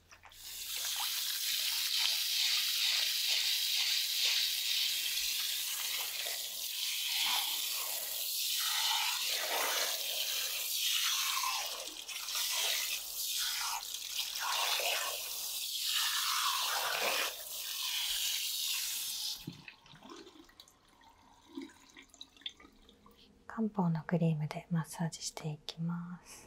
漢方のクリームでマッサージしていきます。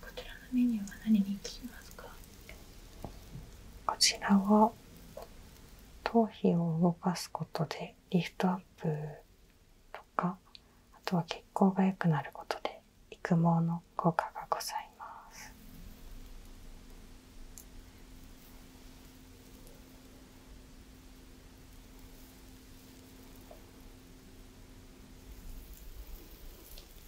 こちらのメニューは何にしますかこちらは頭皮を動かすことでリフトアップとかあとは血行が良くなることで育毛の効果がございます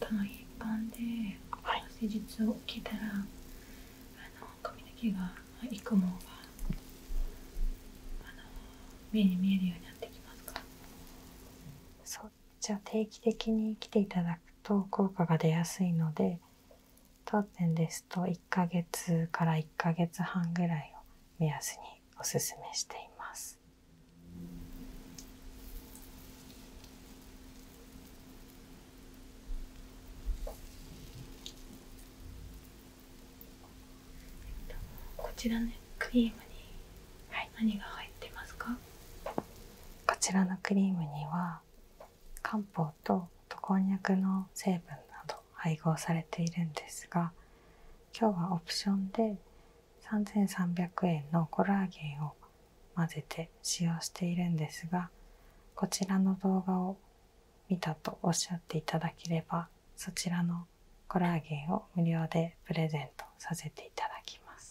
短一般で施術を受けたら、髪の毛が育毛が目に見えるようになってきますかそうじゃあ定期的に来ていただくと効果が出やすいので当店ですと1ヶ月から1ヶ月半ぐらいを目安におすすめしています。こちらのクリームに何が入ってますか、こちらのクリームには漢方とこんにゃくの成分など配合されているんですが今日はオプションで3300円のコラーゲンを混ぜて使用しているんですがこちらの動画を見たとおっしゃっていただければそちらのコラーゲンを無料でプレゼントさせていただきます。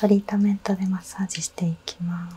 トリートメントでマッサージしていきます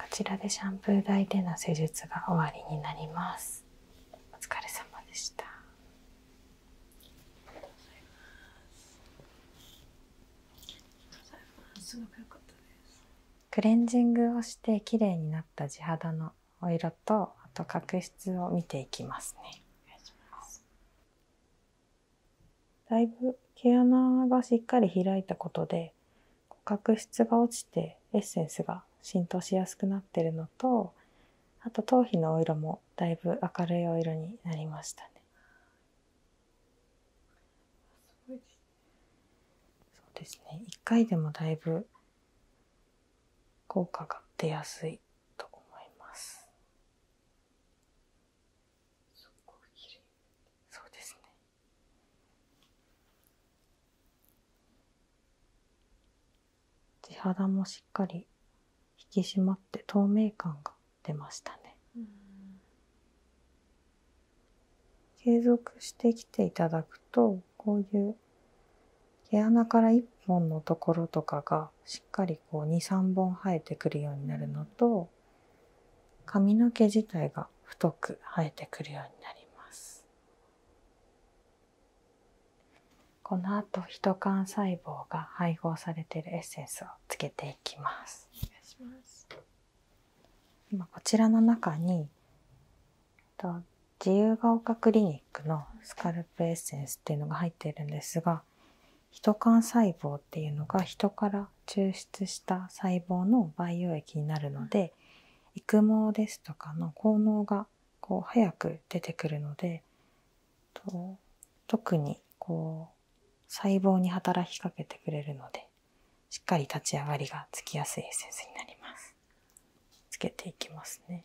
こちらでシャンプー台での施術が終わりになりますお疲れ様でしたクレンジングをして綺麗になった地肌のお色とあと角質を見ていきますね。だいぶ毛穴がしっかり開いたことで角質が落ちてエッセンスが浸透しやすくなってるのとあと頭皮のお色もだいぶ明るいお色になりましたね。そうですね1回でもだいぶ効果が出やすいと思います。そうですね。地肌もしっかり引き締まって透明感が出ましたね。継続してきていただくとこういう毛穴から1本のところとかがしっかりこう23本生えてくるようになるのと髪の毛自体が太く生えてくるようになりますこの後人幹細胞が配合されているエッセンスをつけていきます今こちらの中に自由が丘クリニックのスカルエッセンスっていうのが入ってるんですがヒト幹細胞っていうのが人から抽出した細胞の培養液になるので育毛ですとかの効能がこう早く出てくるので特にこう細胞に働きかけてくれるのでしっかり立ち上がりがつきやすいエッセンスになります。つけていきますね。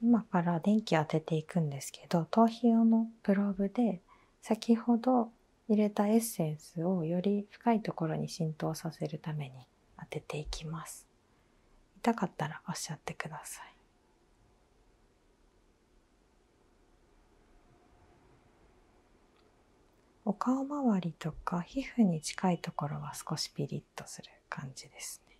今から電気当てていくんですけど頭皮用のグローブで先ほど入れたエッセンスをより深いところに浸透させるために当てていきます痛かったらおっしゃってくださいお顔周りとか皮膚に近いところは少しピリッとする感じですね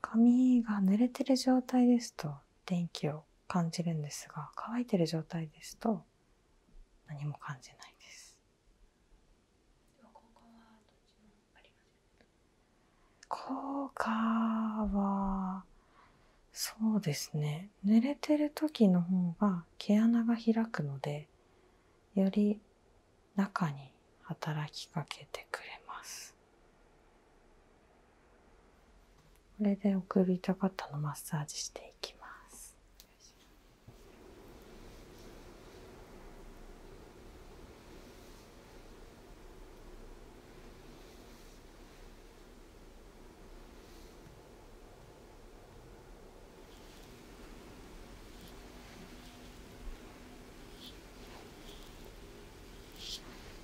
髪が濡れてる状態ですと電気を感じるんですが乾いてる状態ですと何も感じないです効果はそうですね濡れてる時の方が毛穴が開くのでより中に働きかけてくれますこれでおかったのマッサージしていきます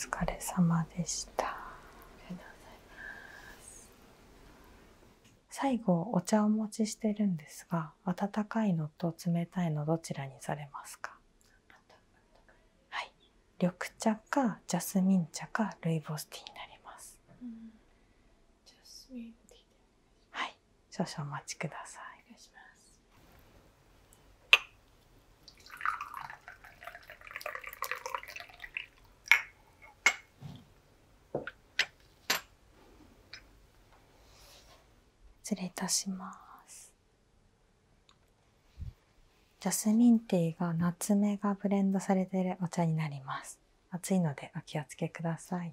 お疲れ様でした。ありがとうございます。最後お茶をお持ちしてるんですが温かいのと冷たいのどちらにされますかはい緑茶かジャスミン茶かルイボスティーになります、はい少々お待ちくださいお願いします失礼いたしますジャスミンティーがナツメがブレンドされているお茶になります熱いのでお気をつけください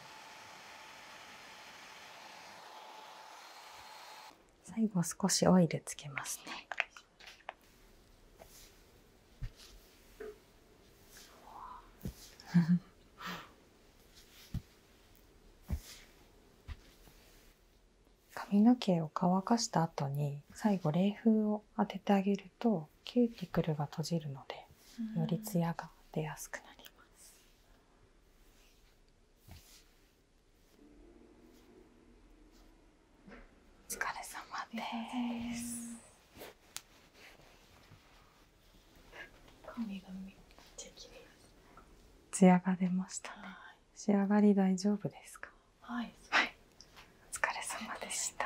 最後少しオイルつけます髪の毛を乾かした後に最後冷風を当ててあげるとキューティクルが閉じるのでよりツヤが出やすくなります。お疲れ様です髪がが出ました仕上がり大丈夫ですかはい、お疲れ様でした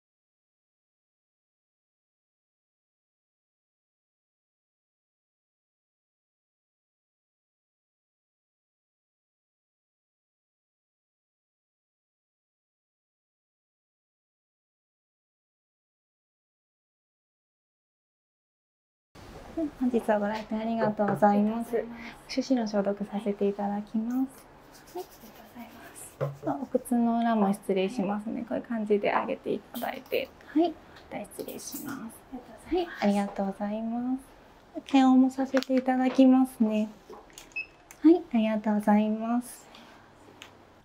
本日はご来店ありがとうございます。手指の消毒させていただきます。ありがとうございます。お靴の裏も失礼しますね。こういう感じで上げていただいて、はい、また失礼します。はい、ありがとうございます。検温もさせていただきますね。はい、ありがとうございます。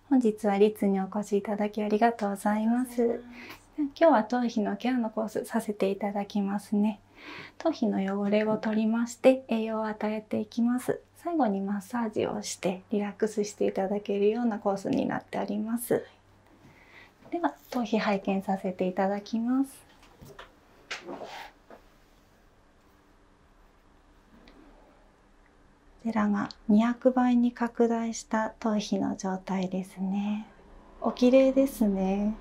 本日はリにお越しいただきありがとうございます。今日は頭皮のケアのコースさせていただきますね。頭皮の汚れを取りまして栄養を与えていきます。最後にマッサージをしてリラックスしていただけるようなコースになっておりますでは頭皮拝見させていただきますこちらが2 0倍に拡大した頭皮の状態ですねお綺麗ですね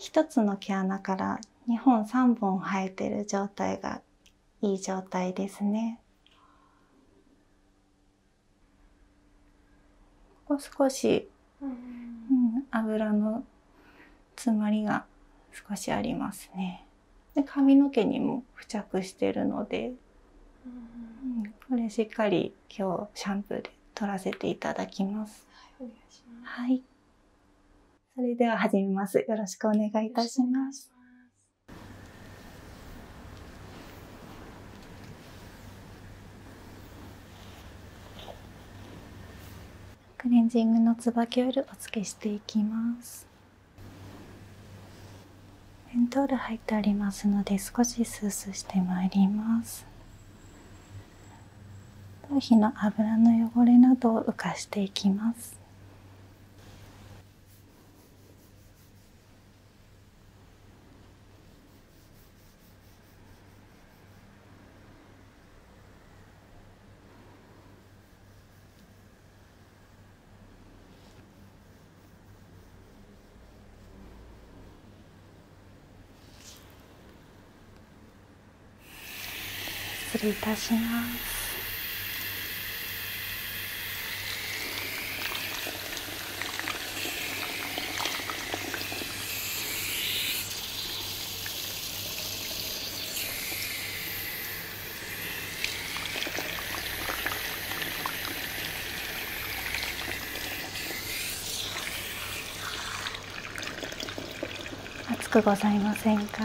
1つの毛穴から2本3本生えてる状態がいい状態ですねもう少し、うん、油の詰まりが少しありますねで髪の毛にも付着してるので、これしっかり今日シャンプーで取らせていただきます。はい。それでは始めます。よろしくお願いいたします。。クレンジングの椿オイルお付けしていきますメントール入ってありますので少しスースーしてまいります頭皮の油の汚れなどを浮かしていきます失礼いたします暑くございませんか。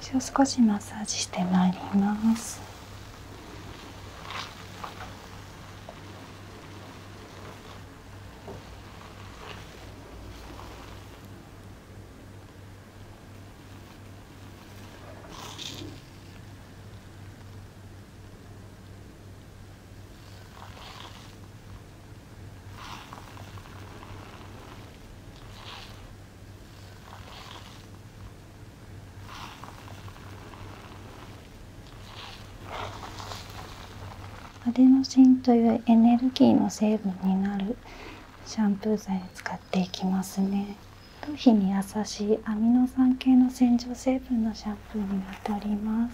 最初少しマッサージしてまいりますアデノシンというエネルギーの成分になるシャンプー剤を使っていきますね頭皮に優しいアミノ酸系の洗浄成分のシャンプーにあたります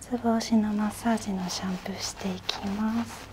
つぼ押しのマッサージのシャンプーしていきます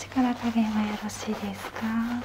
力加減はよろしいですかはい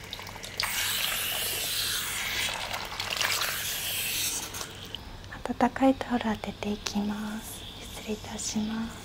温かいタオル当てていきます失礼いたします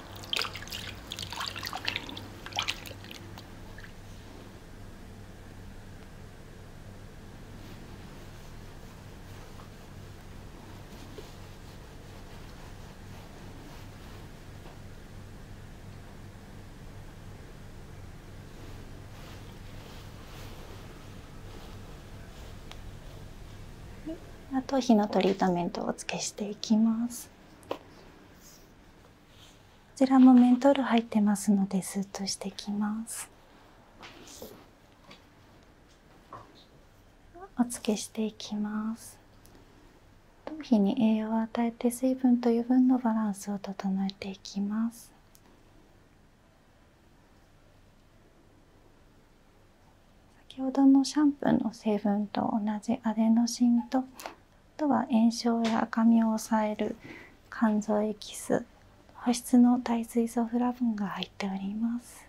あと火のトリートメントをお付けしていきます。こちらもメントール入ってますのでスッとしてきますお付けしていきます頭皮に栄養を与えて水分と油分のバランスを整えていきます先ほどのシャンプーの成分と同じアデノシンとあとは炎症や赤みを抑える肝臓エキス保湿の耐水素フラボンが入っております。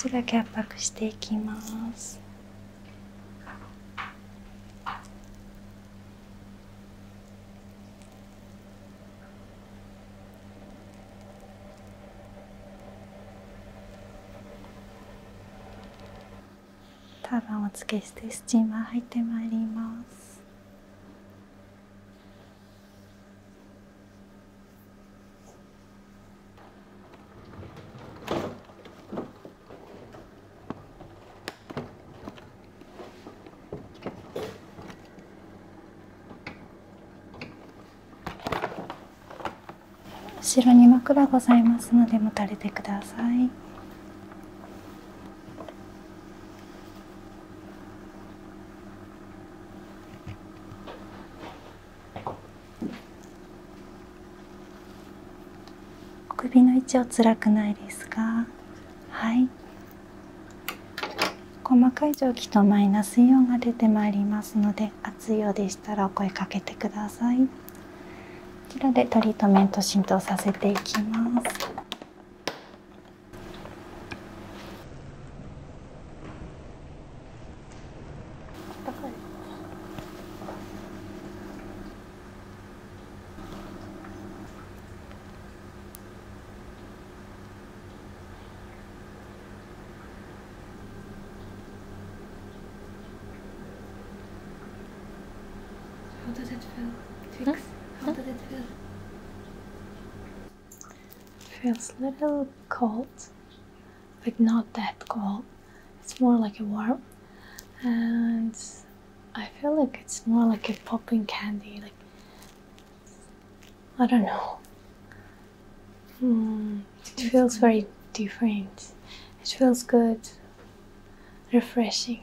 少しだけ圧迫していきますターバンを付けしてスチーマー入ってまいります後ろに枕ございますので持たれてください首の位置は辛くないですがはい細かい蒸気とマイナスイオンが出てまいりますので熱いようでしたらお声かけてくださいちらでトリートメント浸透させていきます。How does it feel? how did it feel? Feels a little cold, but not that cold. It's more like a warm, and I feel like it's more like a popping candy. Like I don't know. Hmm, it feels very different. It feels good, refreshing.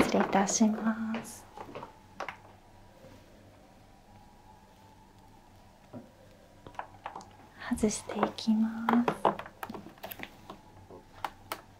失礼いたします。外していきます。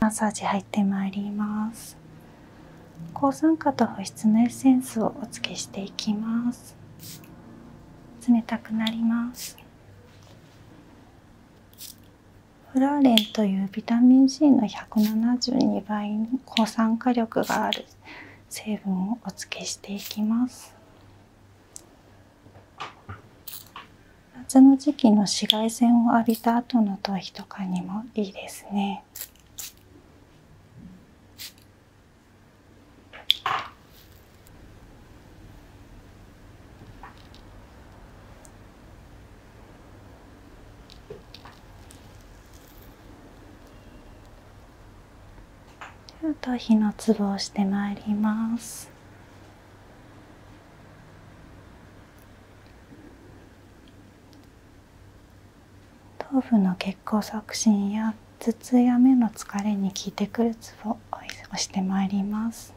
マッサージ入ってまいります抗酸化と保湿のエッセンスをお付けしていきます冷たくなりますフラーレンというビタミン C の172倍の抗酸化力がある成分をお付けしていきます夏の時期の紫外線を浴びた後の頭皮とかにもいいですね頭部の血行促進や頭痛や目の疲れに効いてくるツボを押してまいります。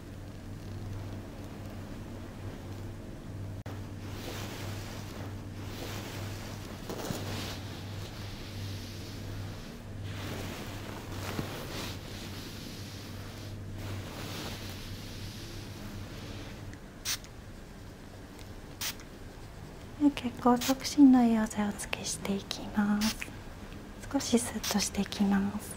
血行促進の栄養剤をつけしていきます少しスッとしていきます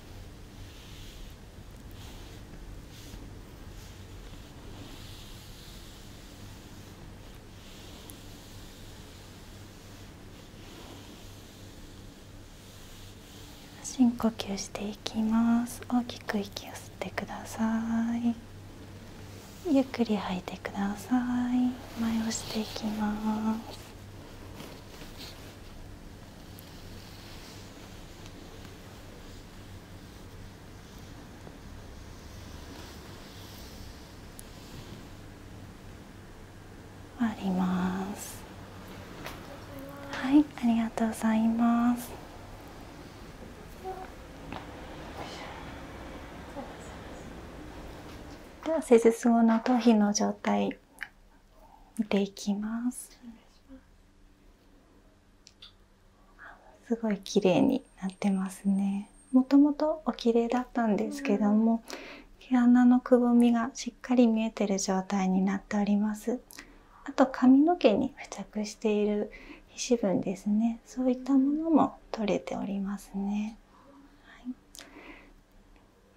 深呼吸していきます大きく息を吸ってくださいゆっくり吐いてください前をしていきますありますはいありがとうございますでは施術後の頭皮の状態見ていきます。すごい綺麗になってますね。もともとお綺麗だったんですけども、毛穴のくぼみがしっかり見えてる状態になっております。あと髪の毛に付着している皮脂分ですね。そういったものも取れておりますね。はい、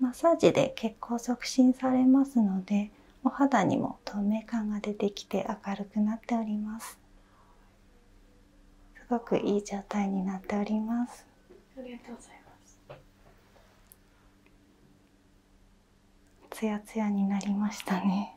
マッサージで血行促進されますので、お肌にも透明感が出てきて明るくなっておりますすごくいい状態になっておりますありがとうございますツヤツヤになりましたね